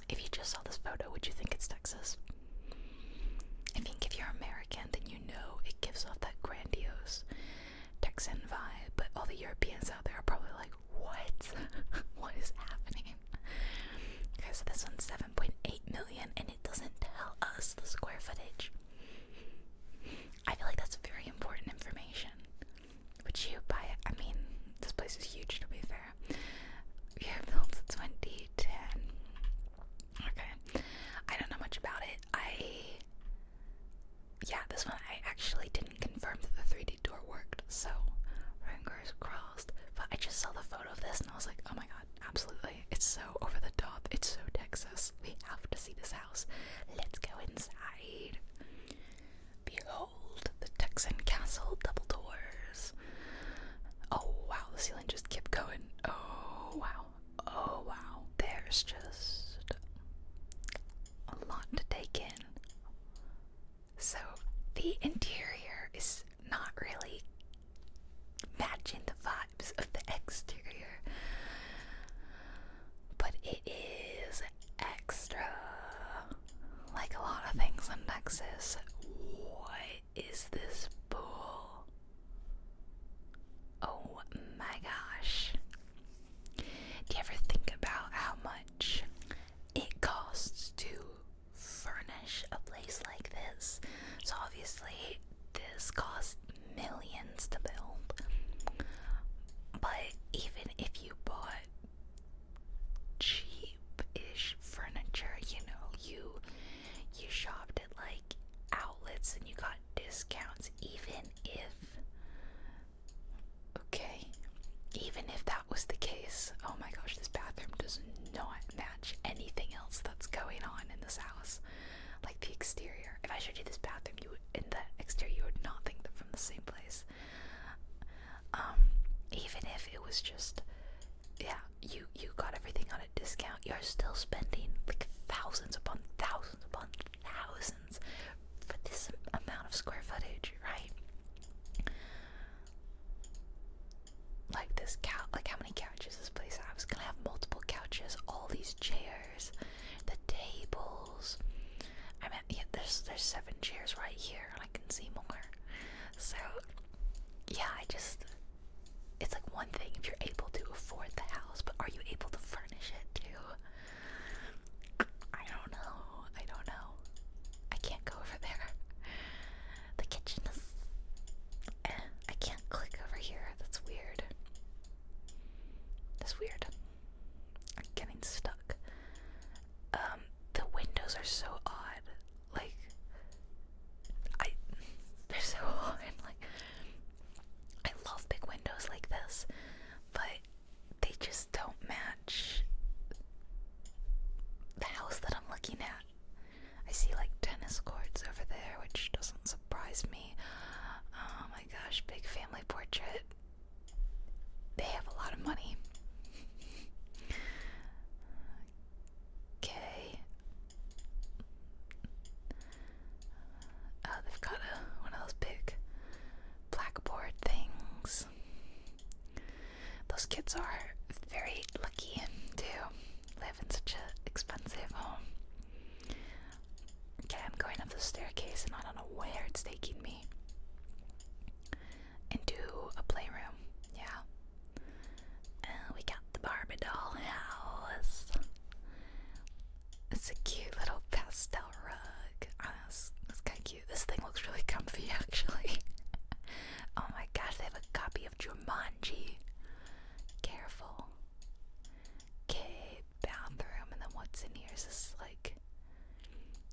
if you just saw this photo, would you think it's Texas? I think if you're American, then you know it gives off that grandiose Texan vibe, but all the Europeans out there are probably like, what? (laughs) what is happening? Okay, so this one's 7.8 million and it doesn't tell us the square footage. I feel like that's very important information. Would you buy it? I mean, this place is huge to be fair. Yeah, built in 2010. Okay. I don't know much about it. I yeah, this one I actually didn't confirm that the 3D door worked, so fingers crossed. But I just saw the photo of this and I was like, oh my god, absolutely. It's so over the top. It's so Texas. We have to see this house. Let's go inside. Behold, the Texan castle double doors. Oh wow, the ceiling just kept going. Oh wow. Oh wow. There's just a lot to take in. So the interior is not really matching the vibes of the exterior. But it is extra. Like a lot of things in Texas. What is this pool? Oh my gosh. Do you ever think about how much it costs to furnish a place like this? So, obviously, this cost millions to build. But even if you bought cheapish furniture, you know, you you shopped at like outlets and you got discounts even if okay even if that was the case oh my gosh this bathroom does not match anything else that's going on in this house like the exterior if i showed you this bathroom you would in the exterior you would not think they're from the same place um even if it was just yeah you you got everything on a discount you're still spending like thousands upon thousands upon thousands for this amount of square footage, right? Like this couch, like how many couches this place has? gonna have multiple couches, all these chairs, the tables. I mean, yeah, there's there's seven chairs right here, I can see more. So, yeah, I just it's like one thing if you're able to afford the house, but are you able to furnish it too? I don't know. I don't know. I can't go over there. The kitchen is. Eh, I can't click over here. That's weird. That's weird. I'm getting stuck. Um, the windows are so odd. Like, I. They're so (laughs) odd. Like, I love big windows like this, but they just don't match the house that I'm looking at. I see like tennis courts over there, which doesn't surprise me. Oh my gosh, big family portrait. They have a lot of money. (laughs) okay. Uh, oh, they've got a, one of those big blackboard things. Those kids are very lucky to live in such an expensive home. Okay, I'm going up the staircase and I don't know where it's taking me. Into a playroom, yeah. And we got the Barbie doll house. It's a cute little pastel rug. Oh, that's, kind of cute. This thing looks really comfy, (laughs) actually. oh my gosh, they have a copy of Jumanji. Careful. Okay, bathroom, and then what's in here? Is just like.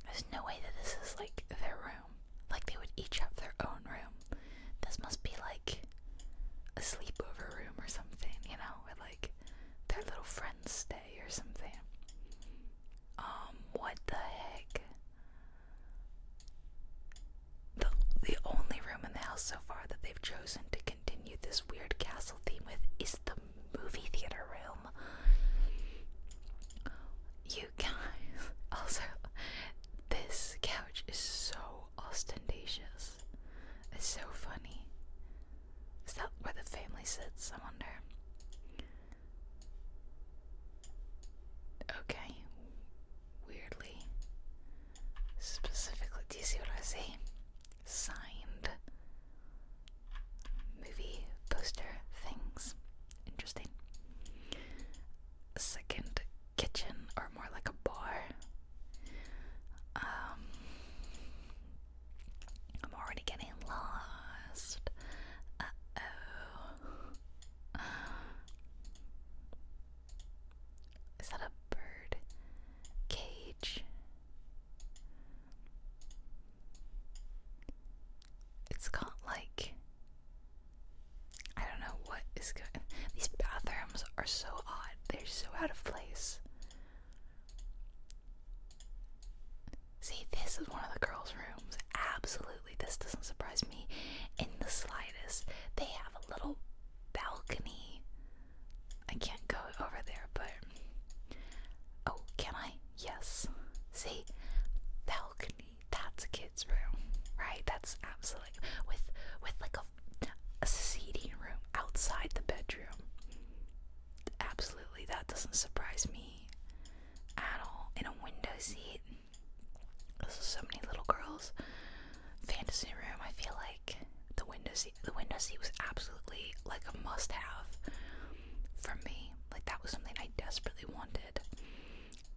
There's no way that this is like their room. Like they would each have their own room. This must be like a sleepover room or something, you know, where like their little friends stay day or something. Um, what the heck? The the only room in the house so far that they've chosen to continue this weird castle theme with is the movie theater room. You guys, (laughs) also, this couch is so ostentatious. It's so funny. Is that where the family sits? I wonder. Okay. Weirdly. Specifically, do you see what I see? Signed movie poster things. Interesting. second kitchen, or more like a bar. Um, I'm already getting lost. Uh oh. Is that a bird cage? It's got like. I don't know what is going. These bathrooms are so odd. They're so out of place. See, this is one of the girls' rooms. Absolutely, this doesn't surprise me in the slightest. They have a little balcony. I can't go over there, but. Oh, can I? Yes. See? Balcony. That's a kid's room, right? That's absolutely. With, with like a, a seating room outside the bedroom absolutely that doesn't surprise me at all. In a window seat, this is so many little girls. Fantasy room. I feel like the window seat. The window seat was absolutely like a must-have for me. Like that was something I desperately wanted,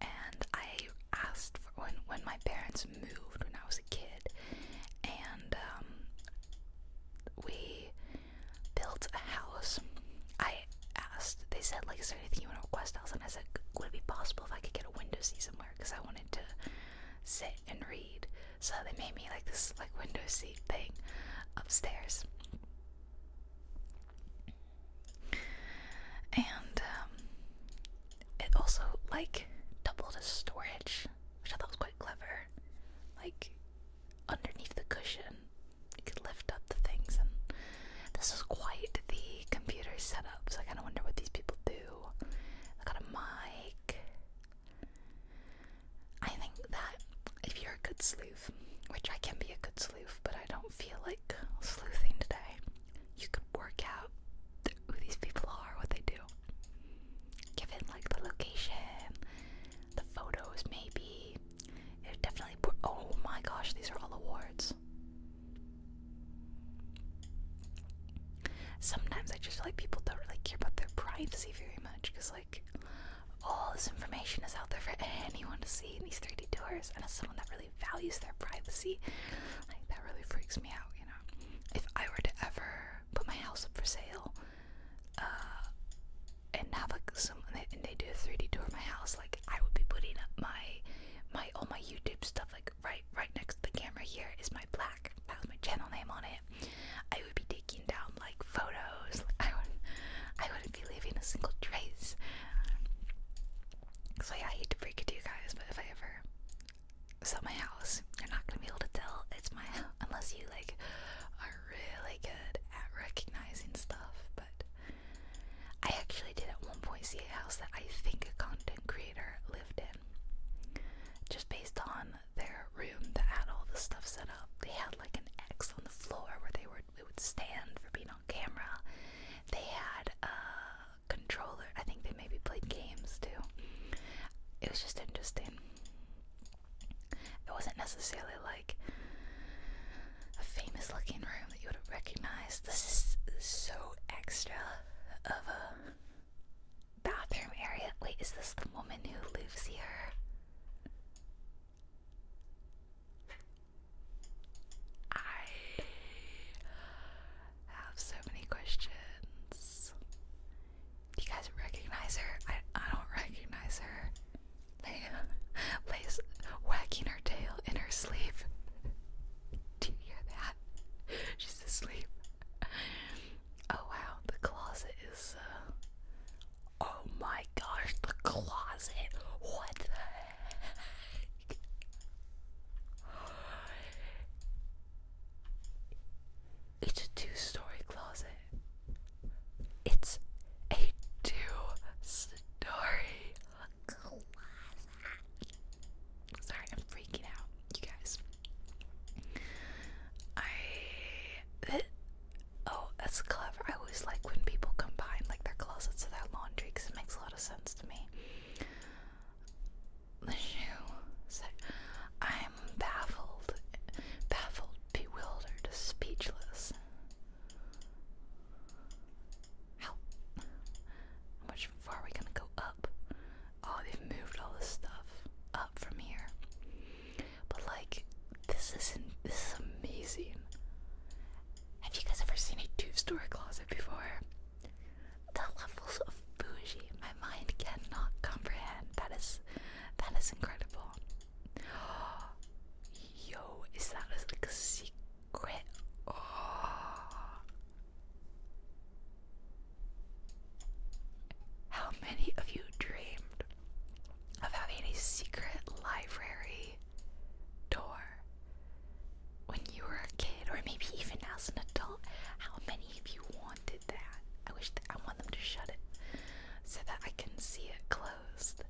and I asked for when when my parents moved when I was a kid, and um, we built a house. I asked, they said, like, is there anything you want to request else? And I said, would it be possible if I could get a window seat somewhere? Because I wanted to sit and read. So they made me like this, like, window seat thing upstairs. And um, it also, like, doubled as storage, which I thought was quite clever. Like, underneath the cushion. You could lift up the things, and this is quite the computer setup. So I kind of wonder what these people do. I got a mic. I think that if you're a good sleuth, which I can be a good sleuth, but I don't feel like sleuthing today, you could work out who these people are, what they do, given like the location, the photos, maybe. It definitely. Oh my gosh, these are all awards. Sometimes I just feel like people don't really care about their privacy very much because, like, all this information is out there for anyone to see in these 3D tours. And as someone that really values their privacy, like, that really freaks me out, you know? If I were to ever put my house up for sale, uh, and have like someone, and they do a 3D tour of my house, like I would be putting up my my all my YouTube stuff like right right next to the camera here is my black That's my channel name on it. I would be taking down like photos. Like, (laughs) I would I wouldn't be leaving a single trace. So yeah, I hate to break it to you guys, but if I ever sell my house, you're not gonna be able to tell it's my house (laughs) unless you like are really good at recognizing stuff, but I actually did at one point see a house that I think a content creator lived in. Just based on their room that had all the stuff set up. They had like an X on the floor where they were it would stand for being on camera. They had a controller. I think they maybe played games too. It was just interesting. It wasn't necessarily like a famous looking room that you would have recognized. This is so extra of a bathroom area. Wait, is this the woman who lives here? I have so many questions you guys recognize her? I I don't recognize her. Leia Leia's (laughs) wagging her tail in her sleep. Do you hear that? (laughs) She's asleep. (laughs) Oh wow, the closet is uh, Oh my gosh, the closet. What the heck? It's a two story closet. It's a two story closet. Sorry, I'm freaking out, you guys. I. oh, that's clever. I always like when people combine like their closets to their laundry because it makes a lot of sense to me. The shoe. I baffled, baffled, bewildered, speechless. How, how much far are we gonna go up? Oh, they've moved all this stuff up from here. But like, this is this is amazing. Have you guys ever seen a two-story closet before? The levels of bougie my mind cannot comprehend. That is that is incredible. (gasps) Yo, is that like a secret? (gasps) How many of you dreamed of having a secret library door when you were a kid, or maybe even as an adult? How many of you wanted that? I wish that I them to shut it so that I can see it closed.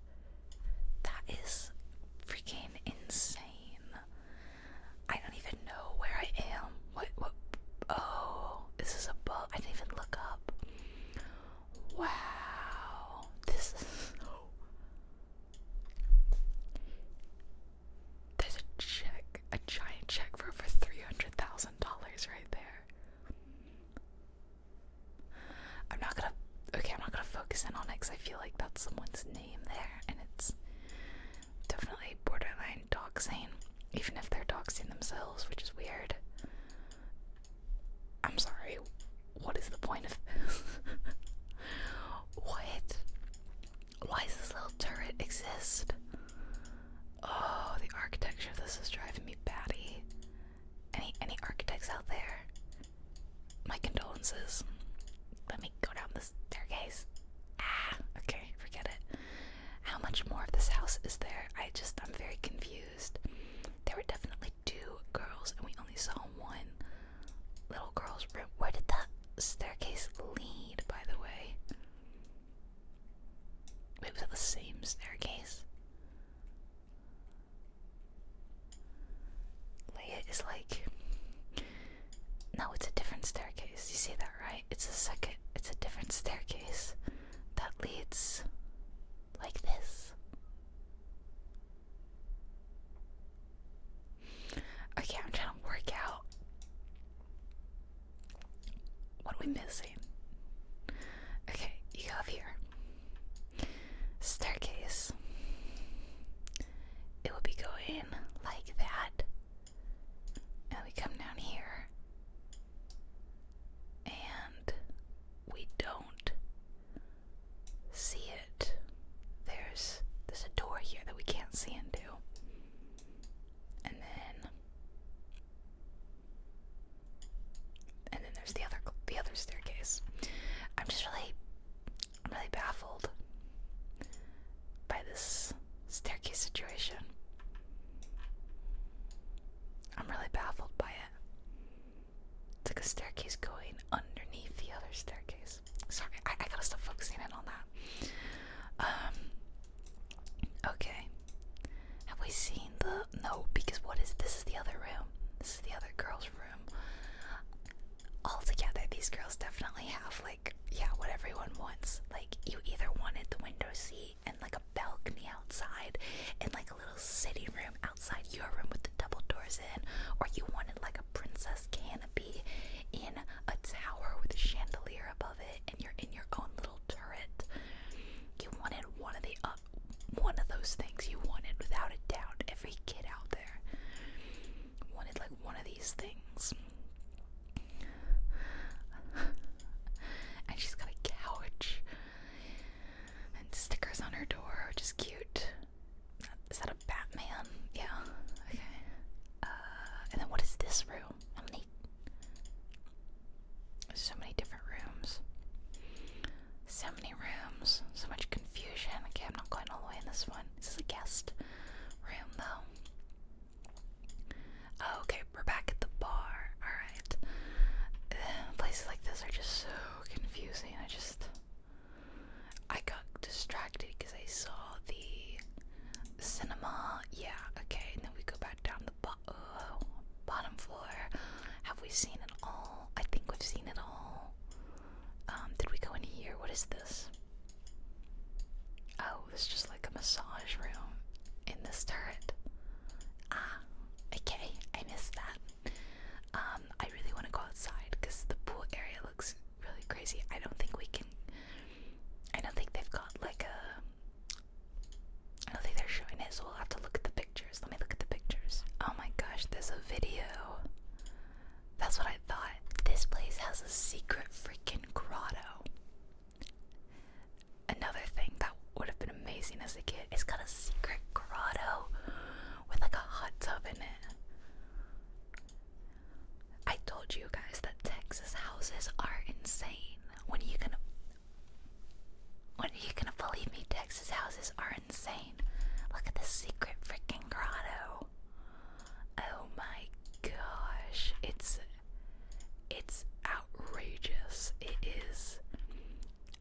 That is freaking insane. I don't even know where I am. What? Oh, this is above. I didn't even look up. Wow, this is (gasps) There's a check, a giant check for over $300,000 right there. I'm not gonna. Okay, I'm not gonna focus in on it because I feel like that's someone's name there, and it's definitely borderline doxing, even if they're doxing themselves, which is weird. I'm sorry, what is the point of this? (laughs) what? Why does this little turret exist? Oh, the architecture of this is driving me batty. Any any architects out there? My condolences. Let me go down the staircase. Ah, okay, forget it. How much more of this house is there? I just I'm very confused. There were definitely two girls and we only saw one little girl's room. Where did the staircase lead, by the way? it was it the same staircase? Leia is like No, it's a different staircase. You see that right? It's a second it's a different staircase that leads like this. Okay, I'm trying to work out what are we missing? Okay, you go up here. Staircase. It will be going like that. And we come down here. And we don't see it. There's there's a door here that we can't see into. And then and then there's the other the other staircase. I'm just really really baffled by this staircase situation. I'm really baffled by it. It's like a staircase going underneath the other staircase. Sorry, I, I gotta stop focusing in on that. Um, okay. Have we seen the no? Because what is this? Is the other room? This is the other girl's room. All together, these girls definitely have like yeah, what everyone wants. Like you either wanted the window seat and like a balcony outside, and like a little sitting room outside your room with the double doors in, or you wanted like a princess canopy in a tower with a chandelier above it, and you're in your own little turret. You wanted one of the up one of those things you wanted without a doubt. Every kid out there wanted like one of these things. and she's got a couch and stickers on her door, which is cute. Is that a Batman? Yeah. Okay. Uh, and then what is this room? How many? So many different rooms. So many rooms. So much confusion. Okay, I'm not going all the way in this one. This is a guest room, though. Oh, okay, we're back at the bar. Alright. (sighs) places like this are just so confusing. I just. I got distracted because I saw the cinema. Yeah, okay, and then we go back down the. Uh, bottom floor. Have we seen it all? I think we've seen it all. Um, did we go in here? What is this? Oh, it's just like a massage room in this turret. Ah, okay, I missed that. Um, I really want to go outside because the pool area looks really crazy. I don't think we can. I don't think they've got like a I don't think they're showing it, so we'll have to look at the pictures. Let me look at the pictures. Oh my gosh, there's a video. That's what I thought. This place has a secret freaking grotto. Another thing that would have been amazing as a kid, is has got a secret grotto with like a hot tub in it. I told you guys that Texas houses are insane. When you can what are you gonna believe me? Texas houses are insane. Look at this secret freaking grotto. Oh my gosh. It's it's outrageous. It is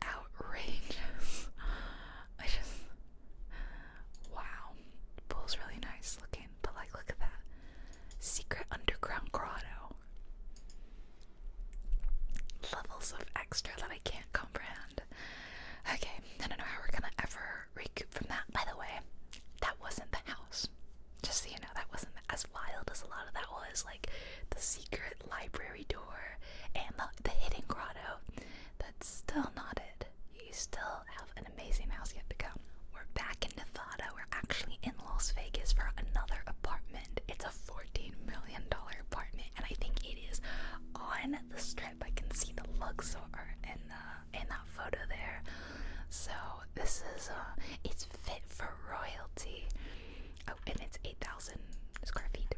outrageous. (laughs) I just Wow. Pool's really nice looking, but like look at that. Secret underground grotto levels of extra that I can't comprehend. Okay, I don't know how we're gonna ever recoup from that. By the way, that wasn't the house. Just so you know, that wasn't as wild as a lot of that was. Like the secret library door and the, the hidden grotto. That's still not it. You still have an amazing house yet to come. We're back in Nevada. We're actually in Las Vegas for another apartment. It's a four $14 million apartment, and I think it is on the strip. I can see the Luxor in, the, in that photo there. So, this is uh, it's fit for royalty. Oh, and it's 8,000 square feet.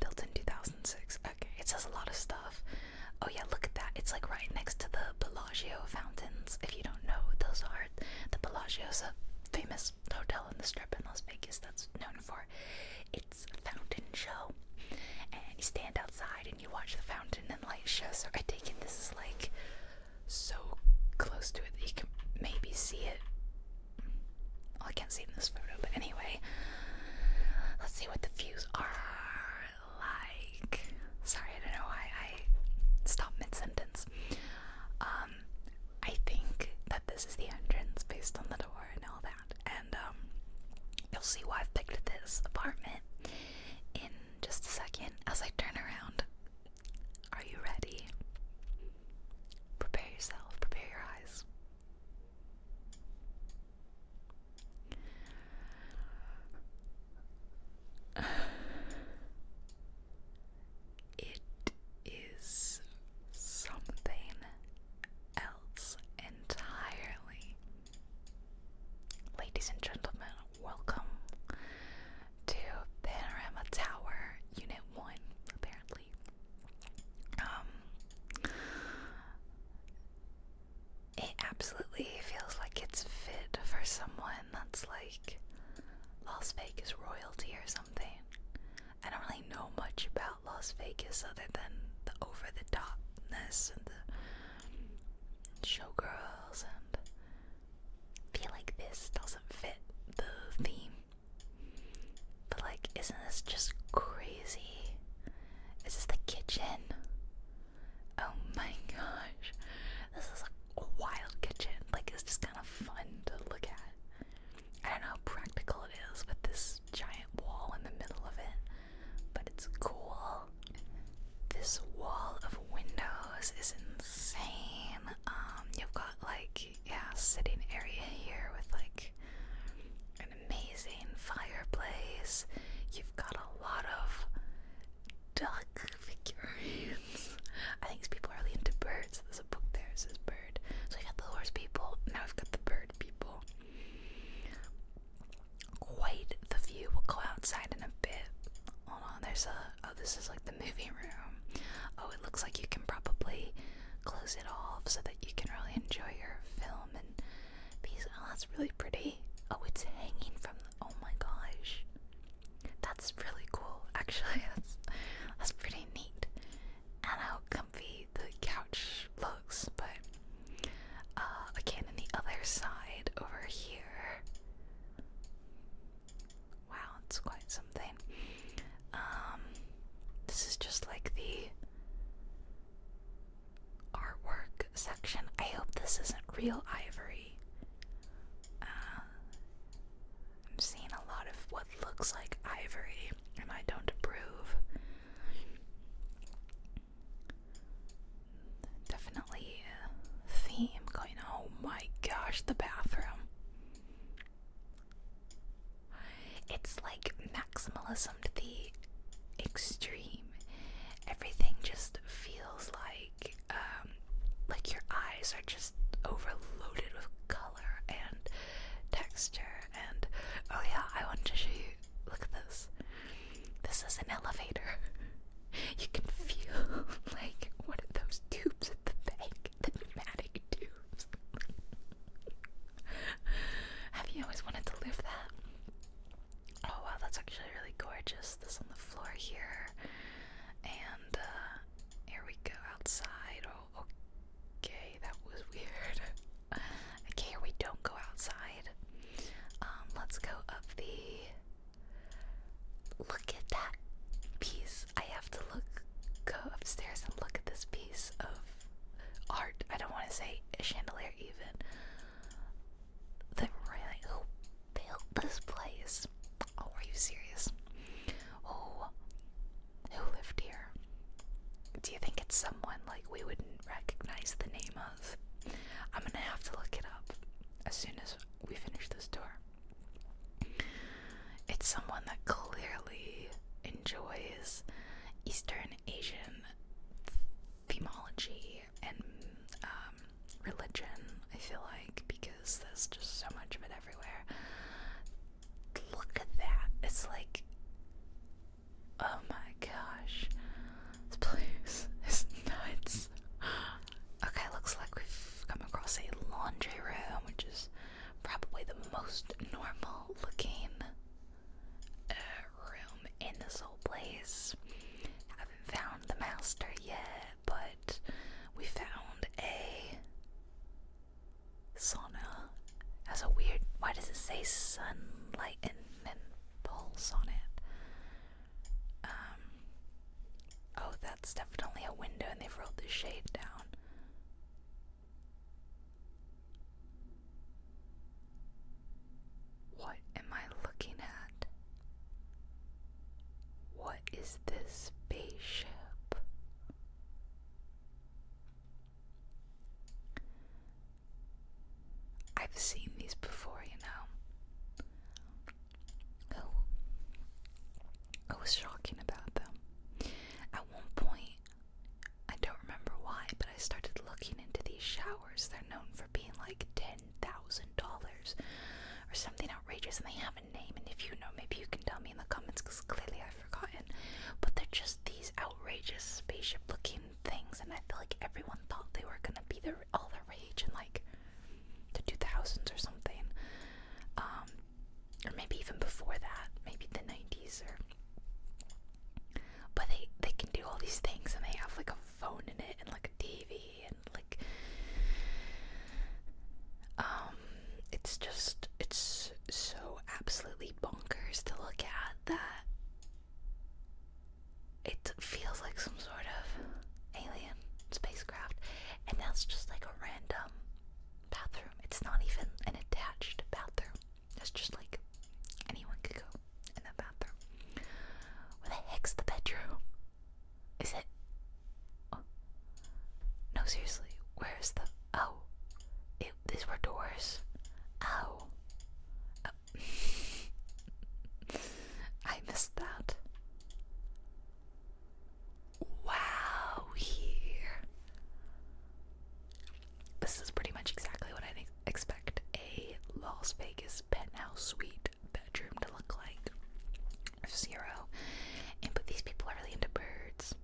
Built in 2006. Okay, it says a lot of stuff. Oh, yeah, look at that. It's like right next to the Bellagio fountains. If you don't know, what those are the Bellagio's a famous hotel in the strip in Las Vegas that's known for its fountain show. And you stand outside and you watch the fountain and light show. So I take it this is like so close to it that you can maybe see it. I can't see in this photo, but anyway, let's see what the views are like. Sorry, I don't know why I stopped mid sentence. Um, um, I think that this is the entrance based on the door and all that. And um, you'll see why I've picked this apartment in just a second as I turn around. Are you ready? Prepare yourself, prepare your eyes. (sighs) It is something else entirely. Ladies and gentlemen, welcome to Panorama Tower Unit 1, apparently. Um it absolutely feels like it's fit for someone that's like Las Vegas royalty or something. I don't really know much about Las Vegas other than the over the topness and the showgirls, and feel like this doesn't fit the theme. But, like, isn't this just crazy? Is this the kitchen? Oh my (laughs) gosh, this is a wild kitchen. Like, it's just kind of fun to look at. I don't know how practical it is with this giant wall in the middle of it, but it's cool. This wall of windows is insane. Um, you've got like yeah, sitting area here with like an amazing fireplace. You've got a lot of duck (laughs) figurines. I think people are really into birds there's book there. says bird. So we got the horse people. Now we've got the bird people. Quite the view. We'll go outside in a bit. Hold on. There's a. Oh, this is like the movie room. Oh, it looks like you can probably close it off so that you can really enjoy your film and these. Oh, that's really pretty. Oh, it's hanging from. The, oh my gosh. That's really cool, actually. (laughs) That's that's pretty neat and how comfy the couch looks, but uh, again, on the other side over here. Wow, it's quite something. Um, this is just like the artwork section. I hope this isn't real ivory. Uh, I'm seeing a lot of what looks like ivory, and I don't approve. Definitely theme going. Oh my gosh, the bathroom. It's like maximalism to the extreme. Everything just feels like um, like your eyes are just overloaded with color and texture and oh yeah, I wanted to show you look at this. This is an elevator. (laughs) You can feel (laughs) like one of those tubes at the bank, the pneumatic tubes. (laughs) Have you always wanted to live that? Oh wow, that's actually really gorgeous. This on the floor here. And uh here we go outside. Okay, that was weird. (laughs) okay, we don't go outside. Um, let's go up the. Look at that piece. I have to look, go upstairs and look at this piece of art. I don't want to say a chandelier even. The who built this place? Oh, are you serious? Oh, who lived here. Do you think it's someone like we wouldn't recognize the name of? I'm gonna have to look it up as soon as we finish this tour. It's someone that clearly enjoys Eastern Asian themology and um, religion, I feel like, because there's just so much of it everywhere look at that. It's like, oh my gosh, this place is nuts. Okay, looks like we've come across a laundry room, which is probably the most normal looking uh, room in this whole place. Haven't found the master yet, but we found a sauna. That's a weird. Why does it say sunlight and pulse on it? Um. Oh, that's definitely a window, and they've rolled the shade down. What am I looking at? What is this spaceship? I've seen these before, you know. Oh, I was shocking about them. At one point, I don't remember why, but I started looking into these showers. They're known for being like $10,000 or something outrageous, and they have not have a name, and if you know, maybe you can tell me in the comments because clearly I've forgotten. But they're just these outrageous spaceship looking things, and I feel like everyone thought they were gonna be the, all the rage in like the 2000s or something. Um, or maybe even before that, maybe the 90s or. But they they can do all these things, and they have like a phone in it, and like a TV, and like um, it's just it's so absolutely bonkers to look at that it feels like some sort of alien spacecraft and that's just like a random bathroom. It's not even an attached bathroom. It's just like anyone could go in that bathroom. Where the heck's the bedroom? Is it? Oh. No, seriously, where's the Oh, these were doors. Oh. (laughs) I missed that. Wow, here. This is pretty much exactly what I expect a Las Vegas penthouse suite bedroom to look like. Zero. And but these people are really into birds.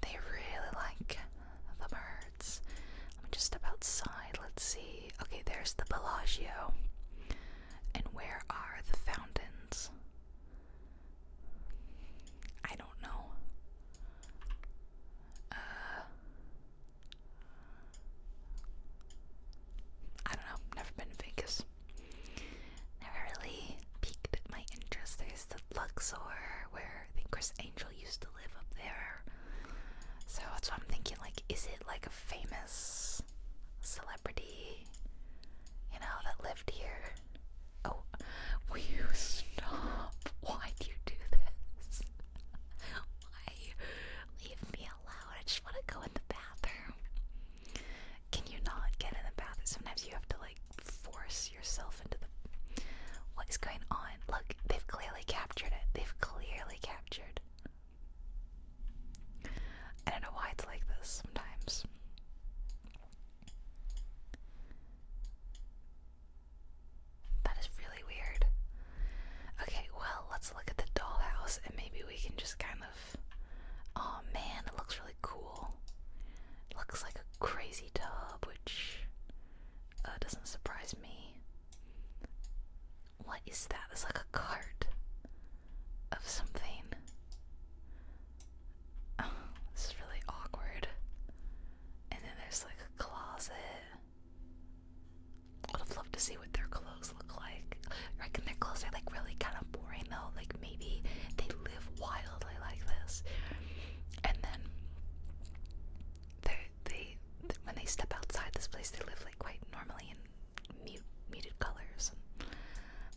They really like the birds. Let me just step outside. Let's see. Okay, there's the Bellagio. And where are the fountains? I don't know. Uh, I don't know. Never been to Vegas never really piqued my interest. There's the Luxor where I think Chris Angel used to live up there. So that's what I'm thinking, like, is it like a famous celebrity, you know, that lived here? Oh, will you stop? Why do you do this? Why? Leave me alone. I just want to go in the bathroom. Can you not get in the bathroom? Sometimes you have to force yourself into the. What is going on? Look, they've clearly captured it. They've clearly captured. I don't know why it's like this sometimes. That is really weird. Okay, well, let's look at the dollhouse and maybe we can just kind of. Oh man, it looks really cool. looks like a crazy tub, which uh, doesn't surprise me. What is that? It's like a cart of something. (sighs) this is really awkward. And then there's like a closet. I would have loved to see what their clothes look like. I reckon their clothes are like really kind of boring though, like maybe they live wildly like this, and then they when they step outside this place, they live like quite normally in mute, muted colors.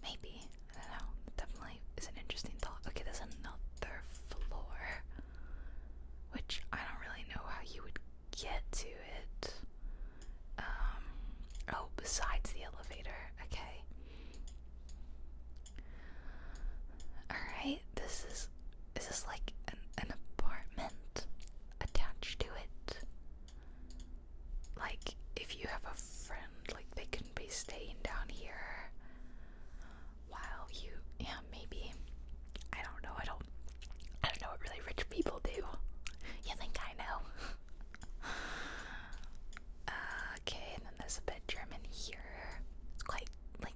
maybe I don't know. Definitely is an interesting thought. Okay, there's another floor, which I don't really know how you would get to it. Um, oh, besides the elevator, okay. Alright, this is is like an an apartment attached to it? Like if you have a friend, like they can be staying down here while you yeah, maybe I don't know, I don't I don't know what really rich people do. You think I know? (laughs) Okay, and then there's a bedroom in here. It's quite like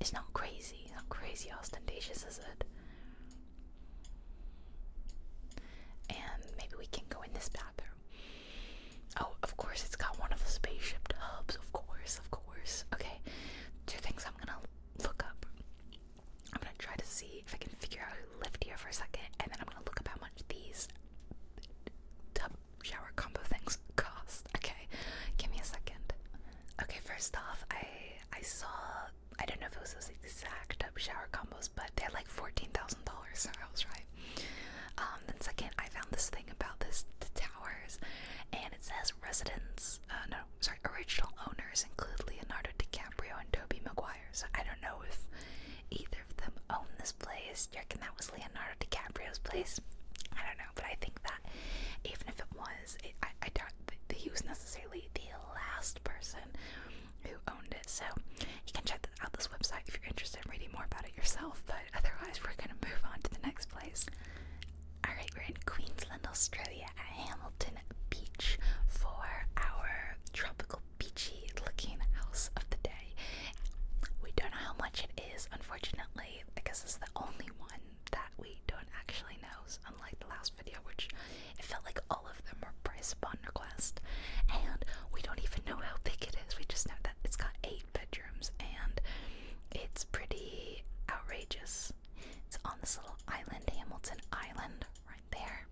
it's not crazy, not crazy ostentatious, is it? And maybe we can go in this bathroom. Oh, of course, it's got one of the spaceship tubs. Of course, of course. Okay, two things I'm gonna look up. I'm gonna try to see if I can figure out who lived here for a second, and then I'm gonna look up how much these tub shower combo things cost. Okay, give me a second. Okay, first off, I I saw I don't know if it was those exact shower combos, but they're like fourteen thousand dollars, so I was right. Um, then second, I found this thing about this towers, and it says residents. Uh, no, sorry, original owners include Leonardo DiCaprio and Tobey Maguire. So I don't know if either of them own this place. Do you reckon that was Leonardo DiCaprio's place? I don't know, but I think that even if it was, I, I doubt that he was necessarily the last person who owned it. So you can check out this website if you're interested in reading more about it yourself. But otherwise, we're going to move on to the next place. Alright, we're in Queensland, Australia at Hamilton Beach for our tropical beachy looking house of the day. We don't know how much it is, unfortunately, because it's the only one that we don't actually know, unlike the last video, which it felt like all of them were price upon request. And we don't even know how big it is, we just know that it's got eight bedrooms and it's pretty outrageous. It's on this little island, Hamilton Island, right there.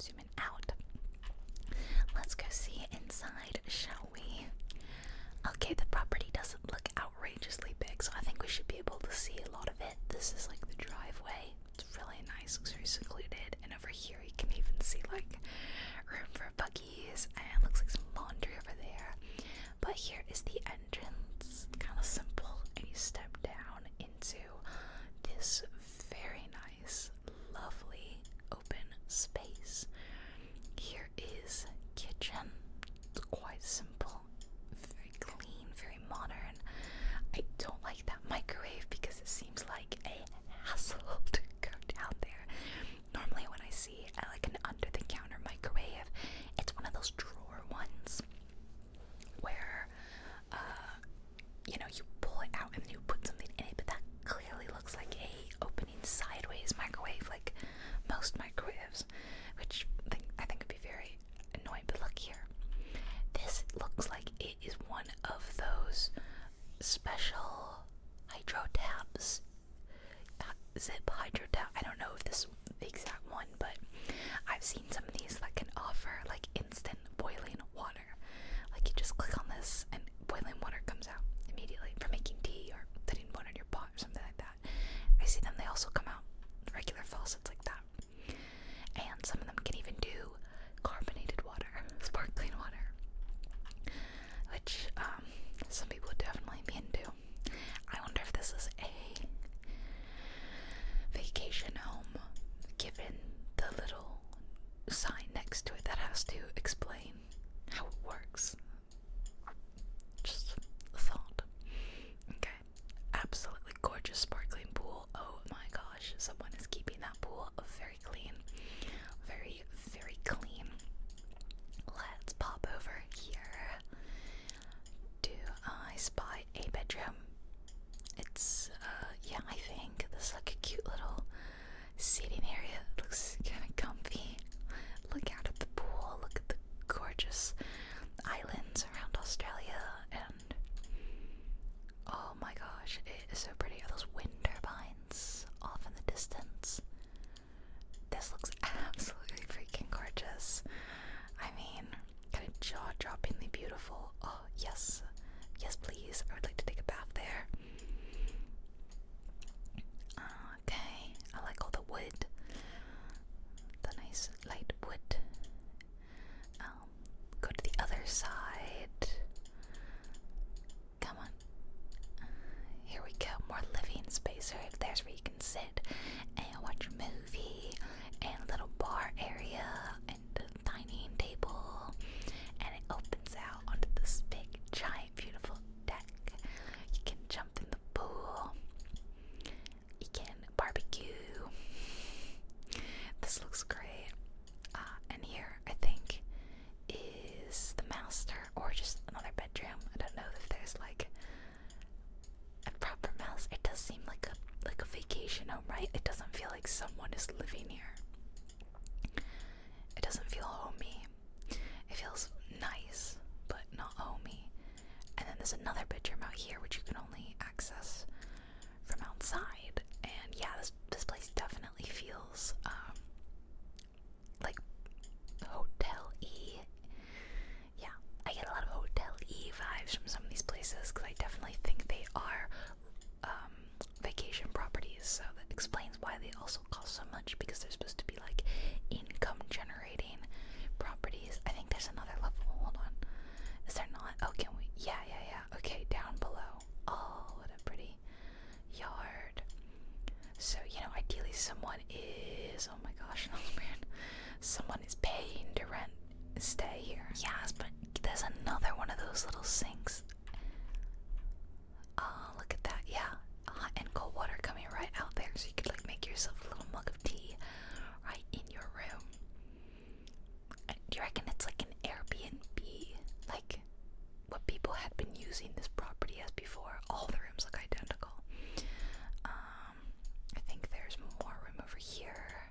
Zoom in out. Let's go see inside, shall Okay, the property doesn't look outrageously big, so I think we should be able to see a lot of it. This is like the driveway. It's really nice, looks very secluded, and over here you can even see like room for buggies, and looks like some laundry over there. But here is the entrance, kind of simple, and you step down into this very nice nice, lovely open space. Here is kitchen. It's quite simple, very clean, very modern. I don't like that microwave because it seems like a hassle (laughs) to go down there. Normally, when I see uh, like an under-the-counter microwave, it's one of those drawer ones where, uh, you know, you pull it out and you put something in it, but that clearly looks like a opening sideways microwave, like most microwaves, which I think would be very annoying. But look here, this looks like it is one of those special hydro tabs, uh, zip hydro tab. I don't know if this is the exact one, but I've seen some of these that can offer like instant boiling water. Like you just click on this and boiling water comes out immediately for making tea or putting water in your pot or something like that. I see them, they also come out regular faucets like that. And some of them can even do carbonated water, (laughs) sparkling water, which um, some people definitely be into. I wonder if this is a vacation home given the little sign next to it that has to explain how it works. Just a thought. Okay. Absolutely gorgeous sparkling pool. Oh my gosh, someone is keeping that pool very clean. Very, very clean. Let's pop over here. Do I spy a bedroom? It's, uh, yeah, I think. This like a cute little seating area looks kind of comfy. Look out at the pool, look at the gorgeous islands around Australia, and oh my gosh, it is so pretty. Are those wind turbines off in the distance? This looks absolutely freaking gorgeous. I mean, kind of jaw droppingly beautiful. Oh, yes, yes, please. I would like to take a bath there. Okay, I like all the wood, the nice light wood. Um, go to the other side. Come on. Here we go. More living space. Right? There's where you can sit and watch a movie, and a little bar area, and a dining table, and it opens out onto this big giant beautiful deck. You can jump in the pool. You can barbecue. This looks great. Uh, and here, I think, is the master or just another bedroom. I don't know if there's like a proper mouse. It does seem like a like a vacation home, right? It doesn't feel like someone is living here. It doesn't feel homey. It feels nice, but not homey. And then there's another bedroom out here which you can only access from outside. And yeah, this this place definitely feels um, like hotel E. Yeah, I get a lot of hotel E vibes from some of these places because I definitely think they are um, vacation properties. So that explains why they also cost so much because they're supposed to be like income generating properties. I think there's another level. Hold on. Is there not? Oh, can we? Yeah, yeah, yeah. Okay, down below. Oh, what a pretty yard. So, you know, ideally someone is. Oh my gosh, that (laughs) Someone is paying to rent stay here. Yes, but there's another one of those little sinks. Oh, look at that. Yeah. Hot and cold water coming right out there. So you could like make yourself a little mug of tea right in your room. Uh, do you reckon it's like an Airbnb? Like what people had been using this property as before. All the rooms look identical. Um, I think there's more room over here.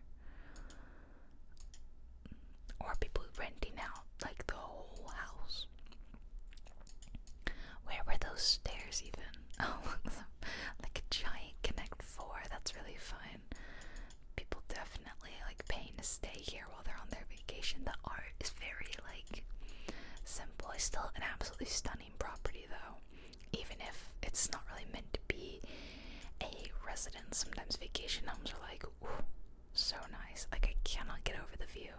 Or people renting out like the whole house. Where were those stairs even? (laughs) Oh, like a giant Connect 4. That's really fun. People definitely like paying to stay here while they're on their vacation. The art is very like simple. It's still an absolutely stunning property though, even if it's not really meant to be a residence. Sometimes vacation homes are like, so nice. Like, I cannot get over the view.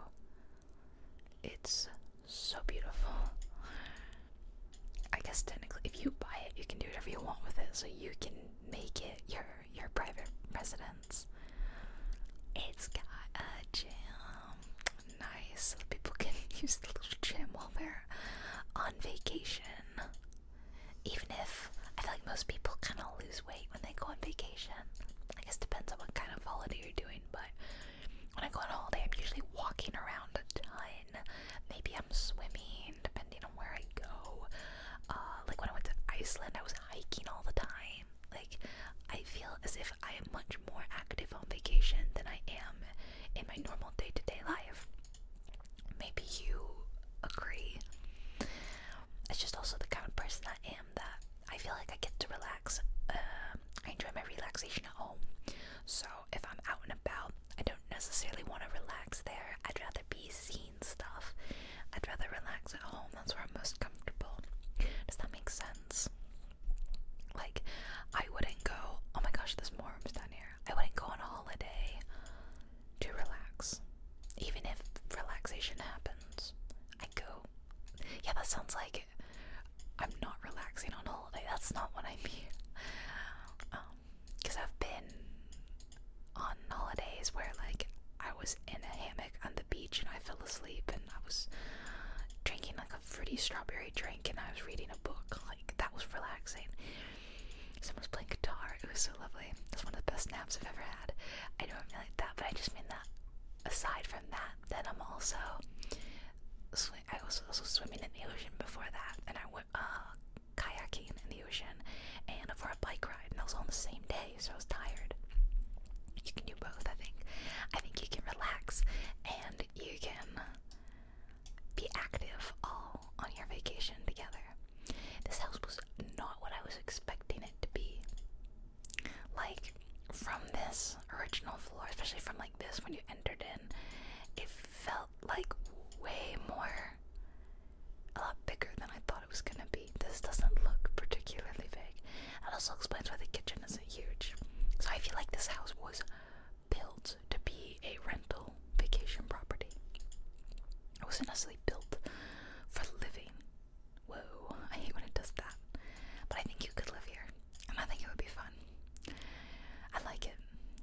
It's so beautiful. I guess technically, if you buy it, you can do whatever you want with it. So you can make it your your private residence. It's got a gym. Nice. People can (laughs) use the little gym while they're on vacation. Even if I feel like most people kind of lose when they go on vacation. I guess depends on what kind of holiday you're doing, but when I go on holiday, I'm usually walking around a ton. Maybe I'm swimming, depending on where I go. Uh, like when I went to Iceland, I was hiking all the time. Like, I feel as if I am much more active on vacation than I am in my normal day to day life. Maybe you agree. It's just also the kind of person I am that I feel like I get to relax. Uh, I enjoy my relaxation at home. So if I'm out and about, I don't necessarily want to relax there. I'd rather be seeing stuff. I'd rather relax at home. That's where I'm most comfortable. Does that make sense? Like, I wouldn't go, oh my gosh, there's more rooms down here. I wouldn't go on a holiday to relax, even if relaxation happens. I go. Yeah, that sounds like I'm not relaxing on holiday. That's not what I mean. Because um, I've been on holidays where, like, I was in a hammock on the beach and I fell asleep and I was drinking like a fruity strawberry drink and I was reading a book. Like, that was relaxing. Someone was playing guitar. It was so lovely. That's one of the best naps I've ever had. I don't mean like that, but I just mean that aside from that, then I'm also I was also swimming in the ocean before that, and I went uh, kayaking in the ocean and for a bike ride, and I was on the same day, so I was tired. You can do both, I think. I think you can relax and you can be active all on your vacation together. This house was not what I was expecting it to be like from this original floor, especially from like this when you entered in, it felt like way more a lot bigger than I thought it was gonna be. This doesn't look particularly big. It also explains why the kitchen isn't huge. So I feel like this house was built to be a rental vacation property. It wasn't necessarily built for living. Whoa, I hate when it does that. But I think you could live here, and I think it would be fun. I like it.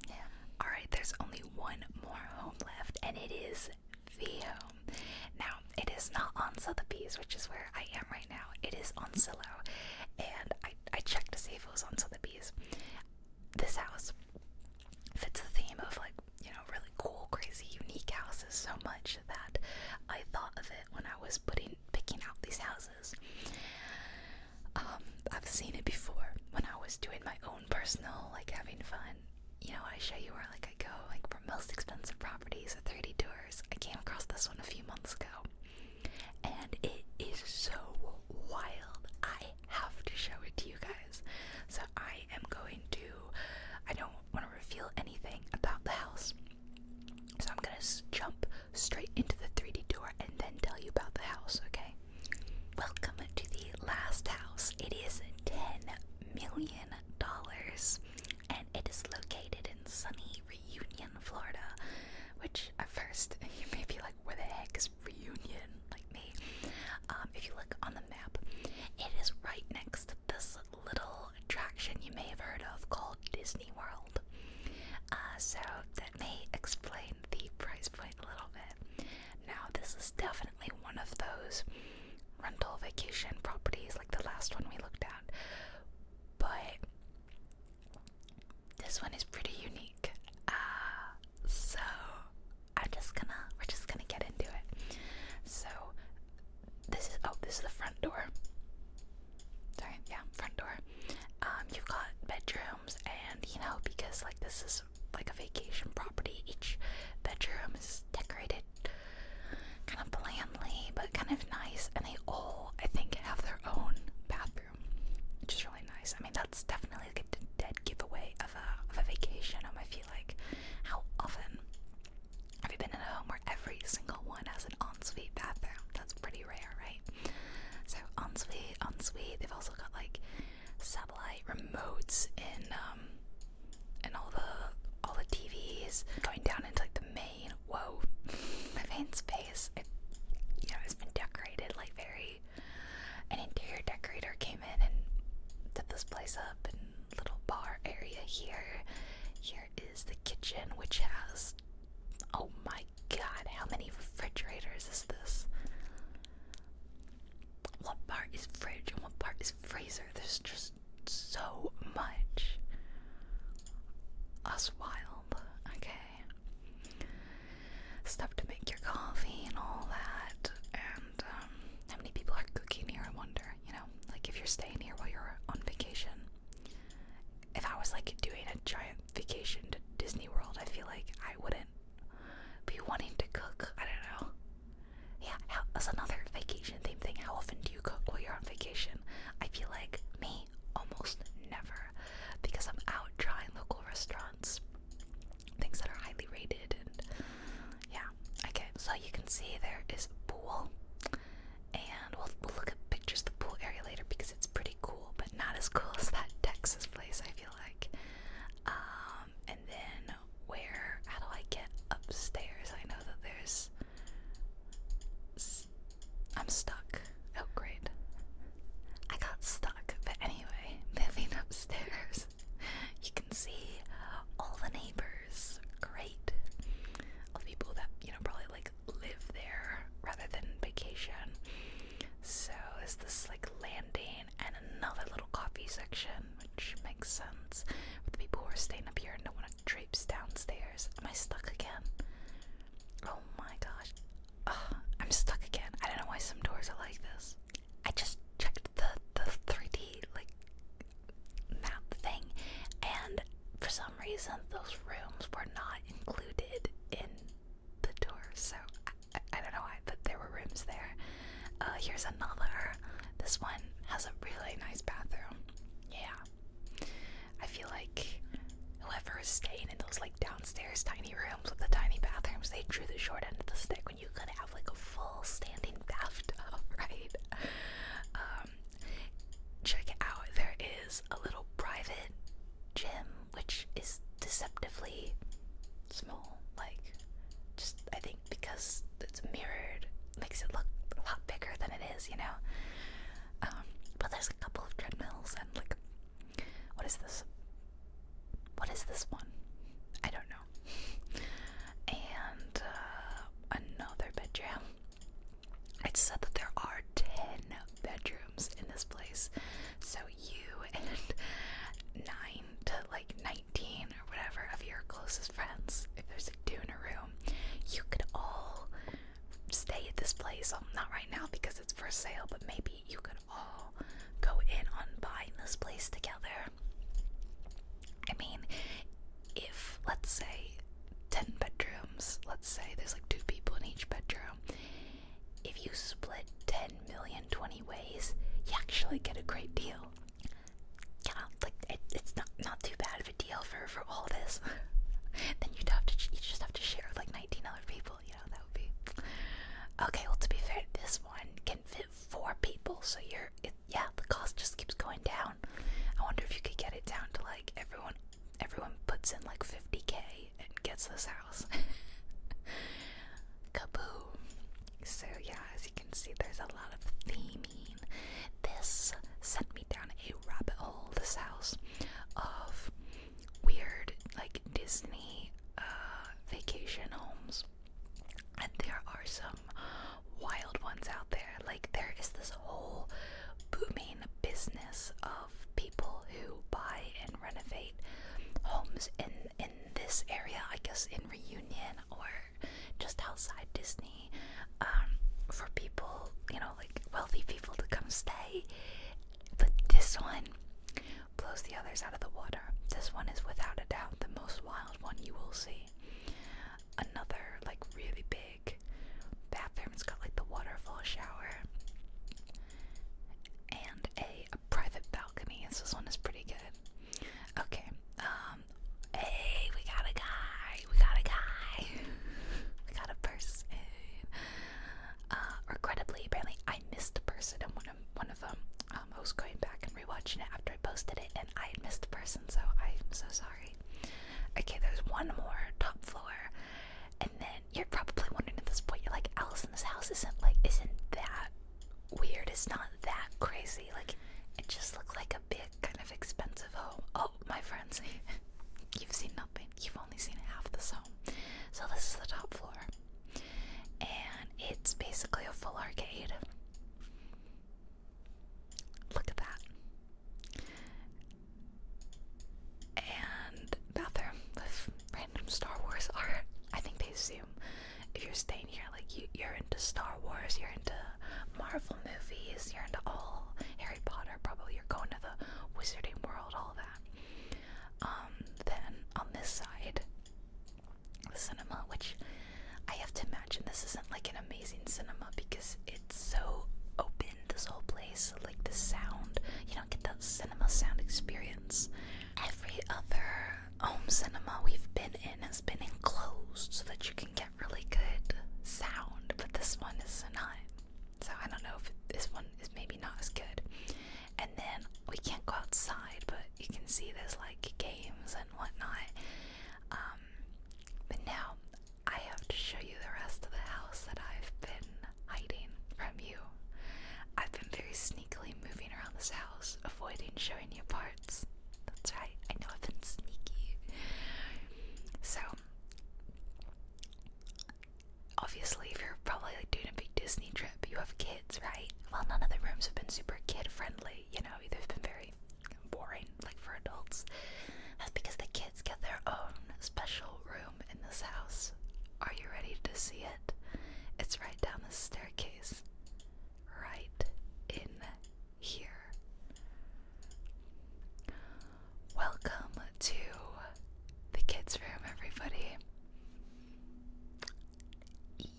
Yeah. Alright, there's only one more home left, and it is the home. Now, it is not on Sotheby's, which is where I am right now. It is on Silo, and I, I checked to see if it was on Sotheby's. This house fits the theme of like, you know, really cool, crazy, unique houses so much that I thought of it when I was putting picking out these houses. Um, I've seen it before when I was doing my own personal, like having fun. You know, I show you where like I go, like for most expensive properties or 30 tours. I came across this one a few months ago, and it is so wild. I have to show it to you guys. So I am going to. I don't want to reveal anything about the house so I'm gonna jump straight into the 3D tour and then tell you about the house, okay? Welcome to the last house. It is $10 million and it is located in sunny Reunion, Florida. Which at first (laughs) you may be like, where the heck is Reunion? Like me. Um, if you look on the map, it is right next to this little attraction you may have heard of called Disney World. Uh, so that may explain the price point a little bit. Now, this is definitely one of those rental vacation properties like the last one we looked at, but this one is pretty unique. Uh, so I'm just gonna, we're just gonna get into it. So, this is oh this is the front door. Sorry, yeah, front door. Um, you've got bedrooms, and you know because like this is like a vacation property, each bedroom is decorated kind of blandly but kind of nice, and they all I think have their own bathroom, which is really nice. I mean that's definitely like a dead giveaway of a of a vacation home. Um, I feel like how often have you been in a home where every single one has an ensuite bathroom? That's pretty rare, right? So ensuite, ensuite. They've also got like satellite remotes in um in all the all the TVs going down into like the main. Whoa, my main space. It, you know, it's been decorated like very. An interior decorator came in and set this place up, and little bar area here, here is the kitchen, which has oh my god, how many refrigerators is this? What part is fridge and what part is freezer? There's just so much. Us wild, okay. Stuff to make your coffee and all that. And um, how many people are cooking here? I wonder. You know, like if you're staying here while you're on vacation, if I was like doing a giant vacation to Disney World, I feel like I wouldn't be wanting to cook. I don't know. Yeah, that's another vacation theme thing. How often do you cook while you're on vacation? I feel like me almost never because I'm out trying local restaurants, things that are highly rated, and yeah. Okay, so you can see there is pool. And we'll, look at pictures of the pool area later because it's pretty cool, but not as cool as that Texas place, I feel like. Um, and then where, how do I get upstairs? I know that there's, I'm stuck. Oh, great. I got stuck, but anyway, (laughs) moving upstairs, you can see all the neighbors. Great. All the people that, you know, probably like live there rather than vacation. So is this like landing and another little coffee section, which makes sense for the people who are staying up here and don't want to traipse downstairs. Am I stuck again? Oh my gosh. I'm stuck again. I don't know why some doors are like this. I just checked the the 3D like map thing, and for some reason those rooms were not included in the tour. So I, don't know why, but there were rooms there. Uh, here's another. This one has a really nice bathroom. Yeah, I feel like whoever is staying in those like downstairs tiny rooms with the tiny bathrooms, they drew the short end of the stick when you could have like a full standing (laughs) bathtub, (laughs) right? Um, check it out. There is a little private gym which is deceptively small. Like, just I think because it's mirrored, makes it look a lot bigger than it is, you know? Um, but there's a couple of treadmills and like, what is this? What is this one? I don't know. (laughs) And uh, another bedroom. It said that there are 10 bedrooms in this place. So you and 9 to like 19 or whatever of your closest friends, if there's like two in a room, you could all stay at this place. Well, um, not right now because it's for sale, but maybe you could all go in on buying this place together. I mean, if let's say 10 bedrooms, let's say there's like two people in each bedroom. If you split 10 million 20 ways, you actually get a great deal. Yeah, like it's not not too bad of a deal for for all this. (laughs) then you'd have to you just have to share with like 19 other people, you know, that would be. Okay, well to be fair, this one can fit four people, so you're yeah, the cost just keeps going down. I wonder if you could get it down to like everyone everyone puts in like 50k and gets this house. (laughs) Kaboom. So yeah, as you can see there's a lot of theming. This sent me down a rabbit hole, this house, of weird like Disney uh, vacation homes. And there are some wild ones out there, like, there is this whole booming business of people who buy and renovate homes in in this area. I guess in Reunion or just outside Disney, um, for people you know, like wealthy people to come stay. But this one blows the others out of the water. This one is without a doubt the most wild one you will see. Another like really big big bathroom. has got like the waterfall shower and a, private balcony. this one is pretty good. Okay. Um. Hey, we got a guy. We got a guy. (laughs) we got a person. Uh, regrettably, apparently I missed a person in one of one of them. Um, I was going back and rewatching it after I posted it, and I missed the person, so I'm so sorry. Okay, there's one more top floor, and then you're probably wondering at this point, you're like, Allison's house isn't like isn't that weird? It's not that crazy. Like, it just looks like a big kind of expensive home. Oh, my friends, (laughs) you've seen nothing. You've only seen half this home. So this is the top floor, and it's basically a full arcade. Look at that. And bathroom with random Star Wars art. I think they assume if you're staying here, like you, you're into Star Wars, you're into Marvel movies, you're into all Harry Potter. Probably you're going to the Wizarding World, all that. Um, then on this side, the cinema, which I have to imagine this isn't like an amazing cinema because it's so open this whole place, like the sound. You don't get that cinema sound experience. Every other home cinema we've been in has been enclosed so that you can get really good sound, but this one is not. So I don't know if this one is maybe not as good. And then we can't go outside, but you can see there's like games and whatnot. Um, but now I have to show you the rest of the house that I've been hiding from you. I've been very sneakily moving around this house, avoiding showing you parts. That's right, I know I've been sneaky. So, obviously, if you're probably like doing a big Disney trip, you have kids, right? Well, none of the rooms have been super kid friendly, you know, they've been very boring like for adults. That's because the kids get their own special room in this house. Are you ready to see it? It's right down the staircase. Right in here. Welcome to the kids' room, everybody.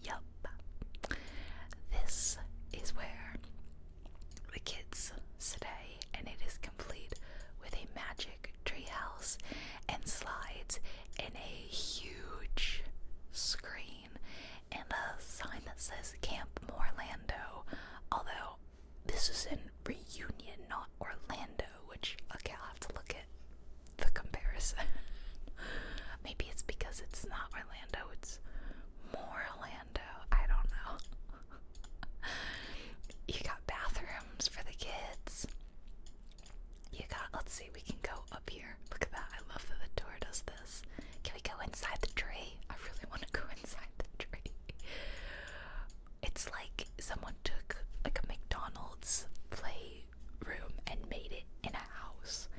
Yup. This is where the kids today, and it is complete with a magic treehouse and slides and a huge screen and a sign that says Camp Morlando. Although this is in Reunion, not Orlando, which okay, I'll have to look at the comparison. (laughs) Maybe it's because it's not Orlando, it's Morlando. I don't know. (laughs) you got bathrooms for the kids. You got, let's see, we can go up here. Look at that. I love that the door does this. Can we go inside the tree? I really want to go (laughs) inside the tree. It's like someone took like a McDonald's playroom and made it in a house.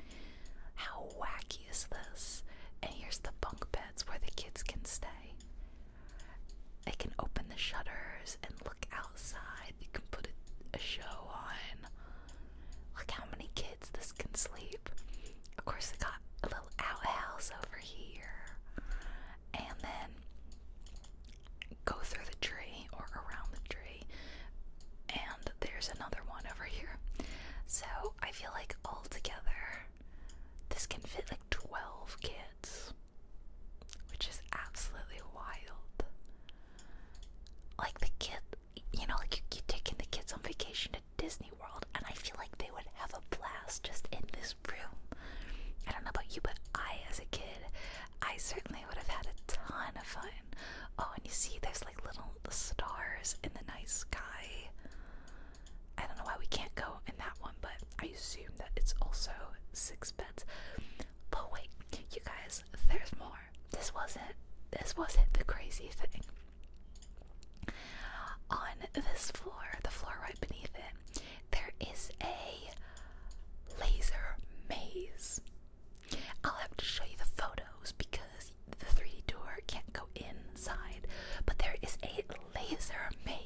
How wacky is this? And here's the bunk beds where the kids can stay. They can open the shutters and look outside. You can put a, show on. Look how many kids this can sleep. Of course, they got a little outhouse over here. And then go through the tree or around the tree. And there's another one over here. So I feel like all together, this can fit like 12 kids which is absolutely wild. Like the kid, you know, like you, are taking the kids on vacation to Disney World, and I feel like they would have a blast just in this room. I don't know about you, but I, as a kid, I certainly would have had a ton of fun. Oh, and you see, there's like little stars in the night sky. I don't know why we can't go in that one, but I assume that it's also six beds. But wait, you guys, there's more. This wasn't this wasn't the crazy thing. On this floor, the floor right beneath it, there is a laser maze. I'll have to show you the photos because the 3D door can't go inside, but there is a laser maze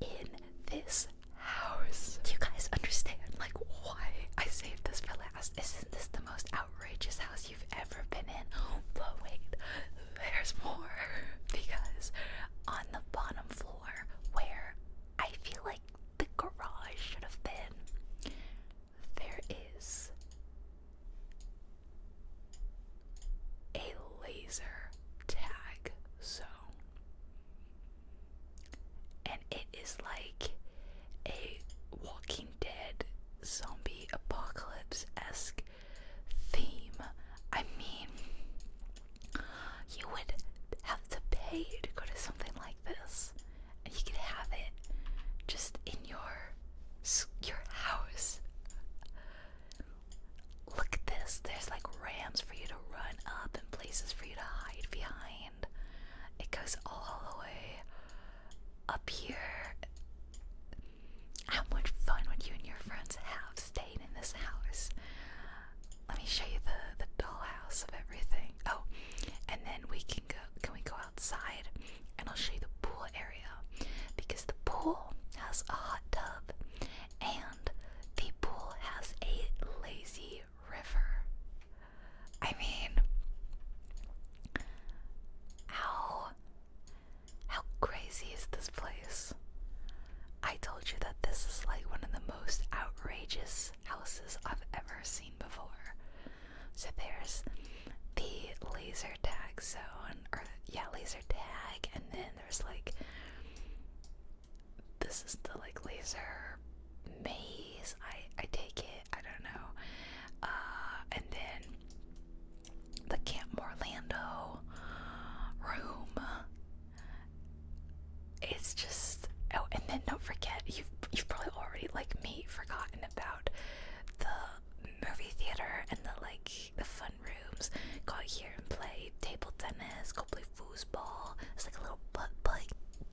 in this house. Do you guys understand like why I saved this for last? Isn't this the most outrageous house you've ever been in? But wait, there's more. (laughs) Because on the bottom floor where I feel like the garage should have been, there is a laser tag. zone, and it is like a Walking Dead zombie apocalypse esque theme. I mean, you would have to pay to go to something like this, and you could have it just in your your house. Look at this. There's like ramps for you to run up and places for you to hide behind. It goes all the way up here. How much fun would you and your friends have staying in this house? Let me show you the the dollhouse of everything. Oh, and then we can go. Can we go outside? And I'll show you the pool area because the pool has a hot tub and the pool has a lazy river. I mean, how how crazy is this place? I told you that this is like one of the most outrageous houses I've ever seen before. So there's the laser tag zone, or yeah, laser tag, and then there's like this is the like laser maze I I take it I don't know uh and then the Camp Orlando room it's just oh and then don't forget you've you've probably already like me forgotten about the movie theater and the like the fun rooms, Got here and played table tennis, go play foosball. It's like a little butt play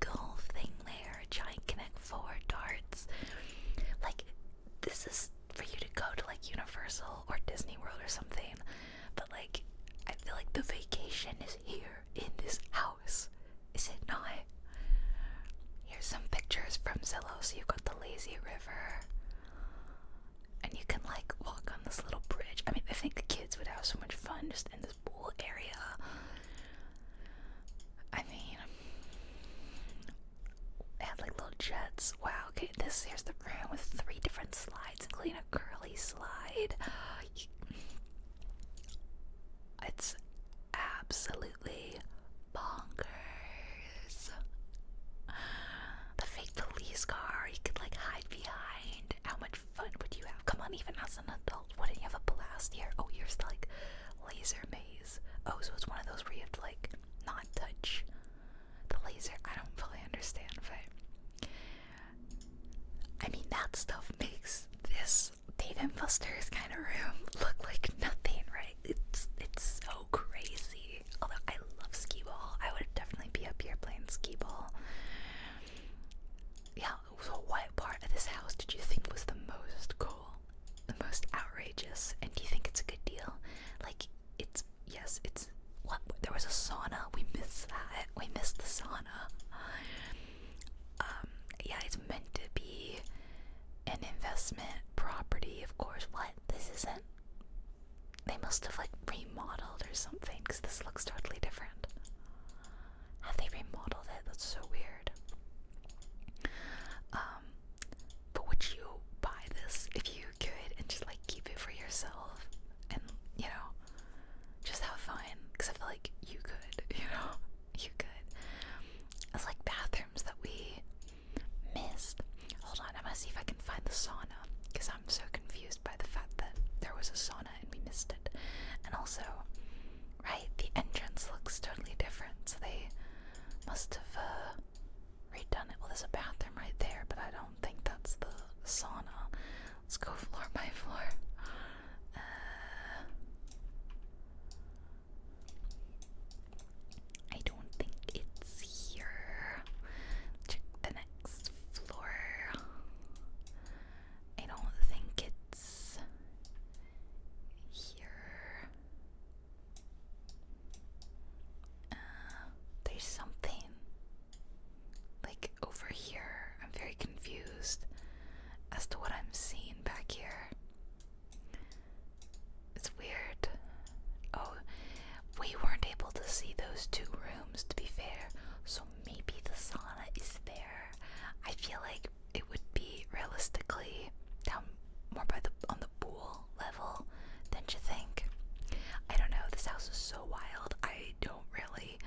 golf thing there, giant connect four darts. Like this is for you to go to like Universal or Disney World or something. But like I feel like the vacation is here in this house. Is it not? Here's some pictures from Zillow. So you've got the lazy river and you can like walk on this little bridge. I mean, I think the kids would have so much fun just in this pool area. I mean, they had like little jets. Wow. Okay, this here's the room with three different slides, including a curly slide. It's absolutely bonkers the fake police car you could like hide behind. How much fun would you have? Come on, even as an adult, wouldn't you have a blast here? Oh, here's the, like laser maze. Oh, so it's one of those where you have to like not touch the laser. I don't fully understand, but I mean that stuff makes this Dave and Buster's kind of room (laughs) look like nothing, right? It's it's so crazy. Although I love skee ball, I would definitely be up here playing skee ball. Yeah, so what part of this house did you think was the most cool? The most outrageous? And do you think it's a good deal? Like, it's, yes, it's, what? There was a sauna. We miss that. We missed the sauna. Um, yeah, it's meant to be an investment property, of course. What? This isn't they must have like remodeled or something because this looks totally different. Have they remodeled it? That's so weird. Um, but would you buy this if you could and just like keep it for yourself and you know just have fun? Because I feel like you could, (laughs) you know, you could. It's like bathrooms that we missed. Hold on, I want to see if I can find the sauna because I'm so confused by the fact that there was a sauna and we missed it. And also, right, the entrance looks totally different, so they must have uh, redone it. Well, there's a bathroom right there, but I don't think that's the sauna. Let's go floor (laughs) by floor. Uh, I don't think it's here. Check the net floor. I don't think it's here. Uh, there's something like over here. I'm very confused as to what I'm seeing back here. It's weird. Oh, we weren't able to see those two rooms, to be fair, so maybe the sauna is there. I feel like it would be realistically down more by the on the pool level, don't you think? I don't know. This house is so wild. I don't really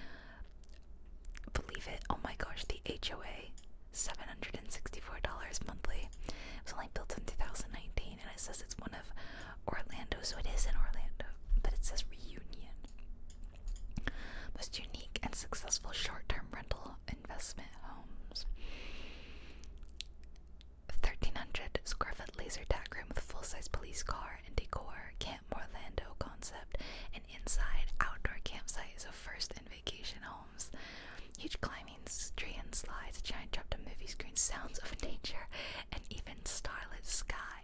believe it. Oh my gosh, the HOA, seven hundred and sixty-four dollars monthly. It was only built in two thousand nineteen and it says it's one of Orlando, so it is in Orlando, but it says reunion. Most unique and successful short term rental investment homes. 1300 square foot laser tag with full size police car and decor, Camp Orlando concept, and inside outdoor campsite is a first in vacation homes. Huge climbing tree slides, giant drop to movie screen, sounds of nature, and even starlit sky.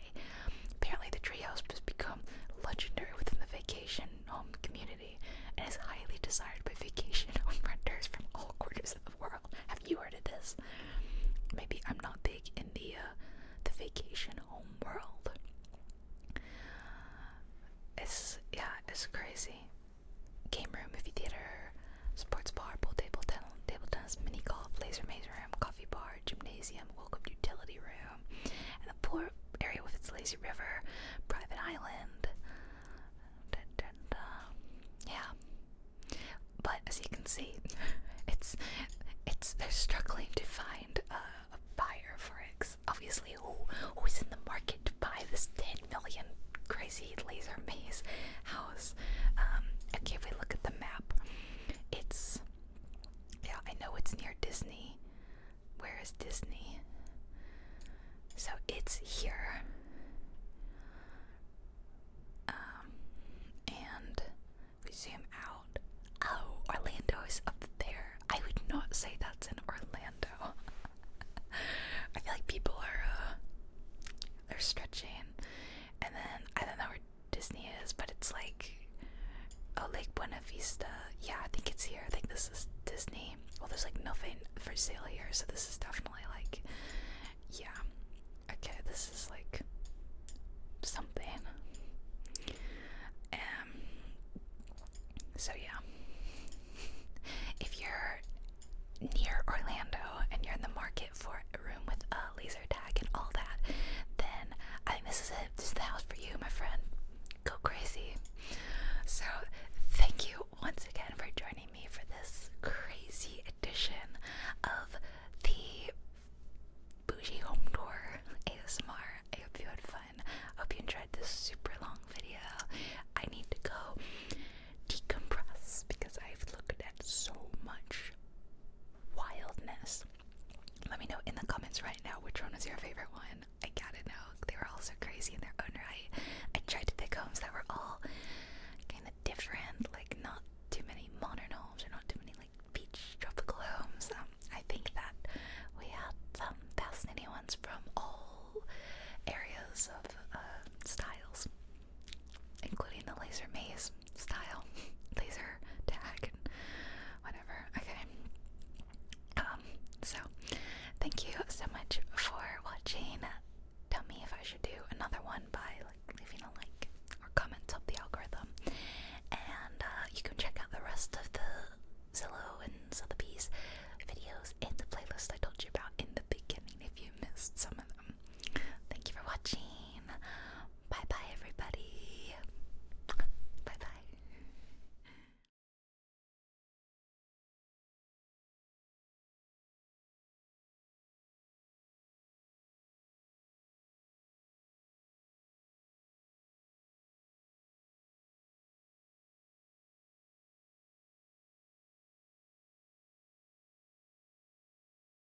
Apparently, the treehouse has become legendary within the vacation home community and is highly desired by vacation (laughs) home renters from all quarters of the world. Have you heard of this? Maybe I'm not big in the uh, the vacation home world. It's yeah, it's crazy. Game room, movie theater, sports bar, pool table, ten table tennis, mini golf, laser maze room, coffee bar, gymnasium, welcome utility room, and the pool area with its lazy river, private island. Yeah, but as you can see, (laughs) it's it's they're struggling to find a, buyer for it. obviously, who who's in the market to buy this ten million crazy laser maze house? Um, okay, if we look at the map, it's yeah, I know it's near Disney. Where is Disney? So it's here. Um and we zoom out. Oh, Orlando is up there. I would not say that's in Orlando. (laughs) I feel like people are uh, they're stretching and then I don't know Disney is, but it's like oh Lake Buena Vista. Yeah, I think it's here. I think this is Disney. Well, there's like nothing for sale here, so this is definitely like yeah. Okay, this is like something. Um. So yeah, if you're near Orlando and you're in the market for a room with a laser tag and all that, then I think this is it. This is the house for you, my friend. Go crazy. So, thank you once again for joining me for this crazy edition of the Bougie Home Tour ASMR. I hope you had fun. I hope you enjoyed this super long video. I need to go decompress because I've looked at so much wildness. Let me know in the comments right now which one is your favorite one. I gotta know. They were all so crazy in their own right. I tried to pick homes that were all kind of different, like not too many modern homes or not too many like beach tropical homes. Um, I think that we had some fascinating ones from all areas of uh, styles, including the laser maze style, (laughs) laser tag, whatever. Okay. Um. So, thank you so much for watching. Tell me if I should do another one by like leaving a like or comment up the algorithm. And uh, you can check out the rest of the Zillow and Sotheby's videos in the playlist I told you about in the beginning if you missed some of them. Thank you for watching. Bye bye, everybody. Bye bye.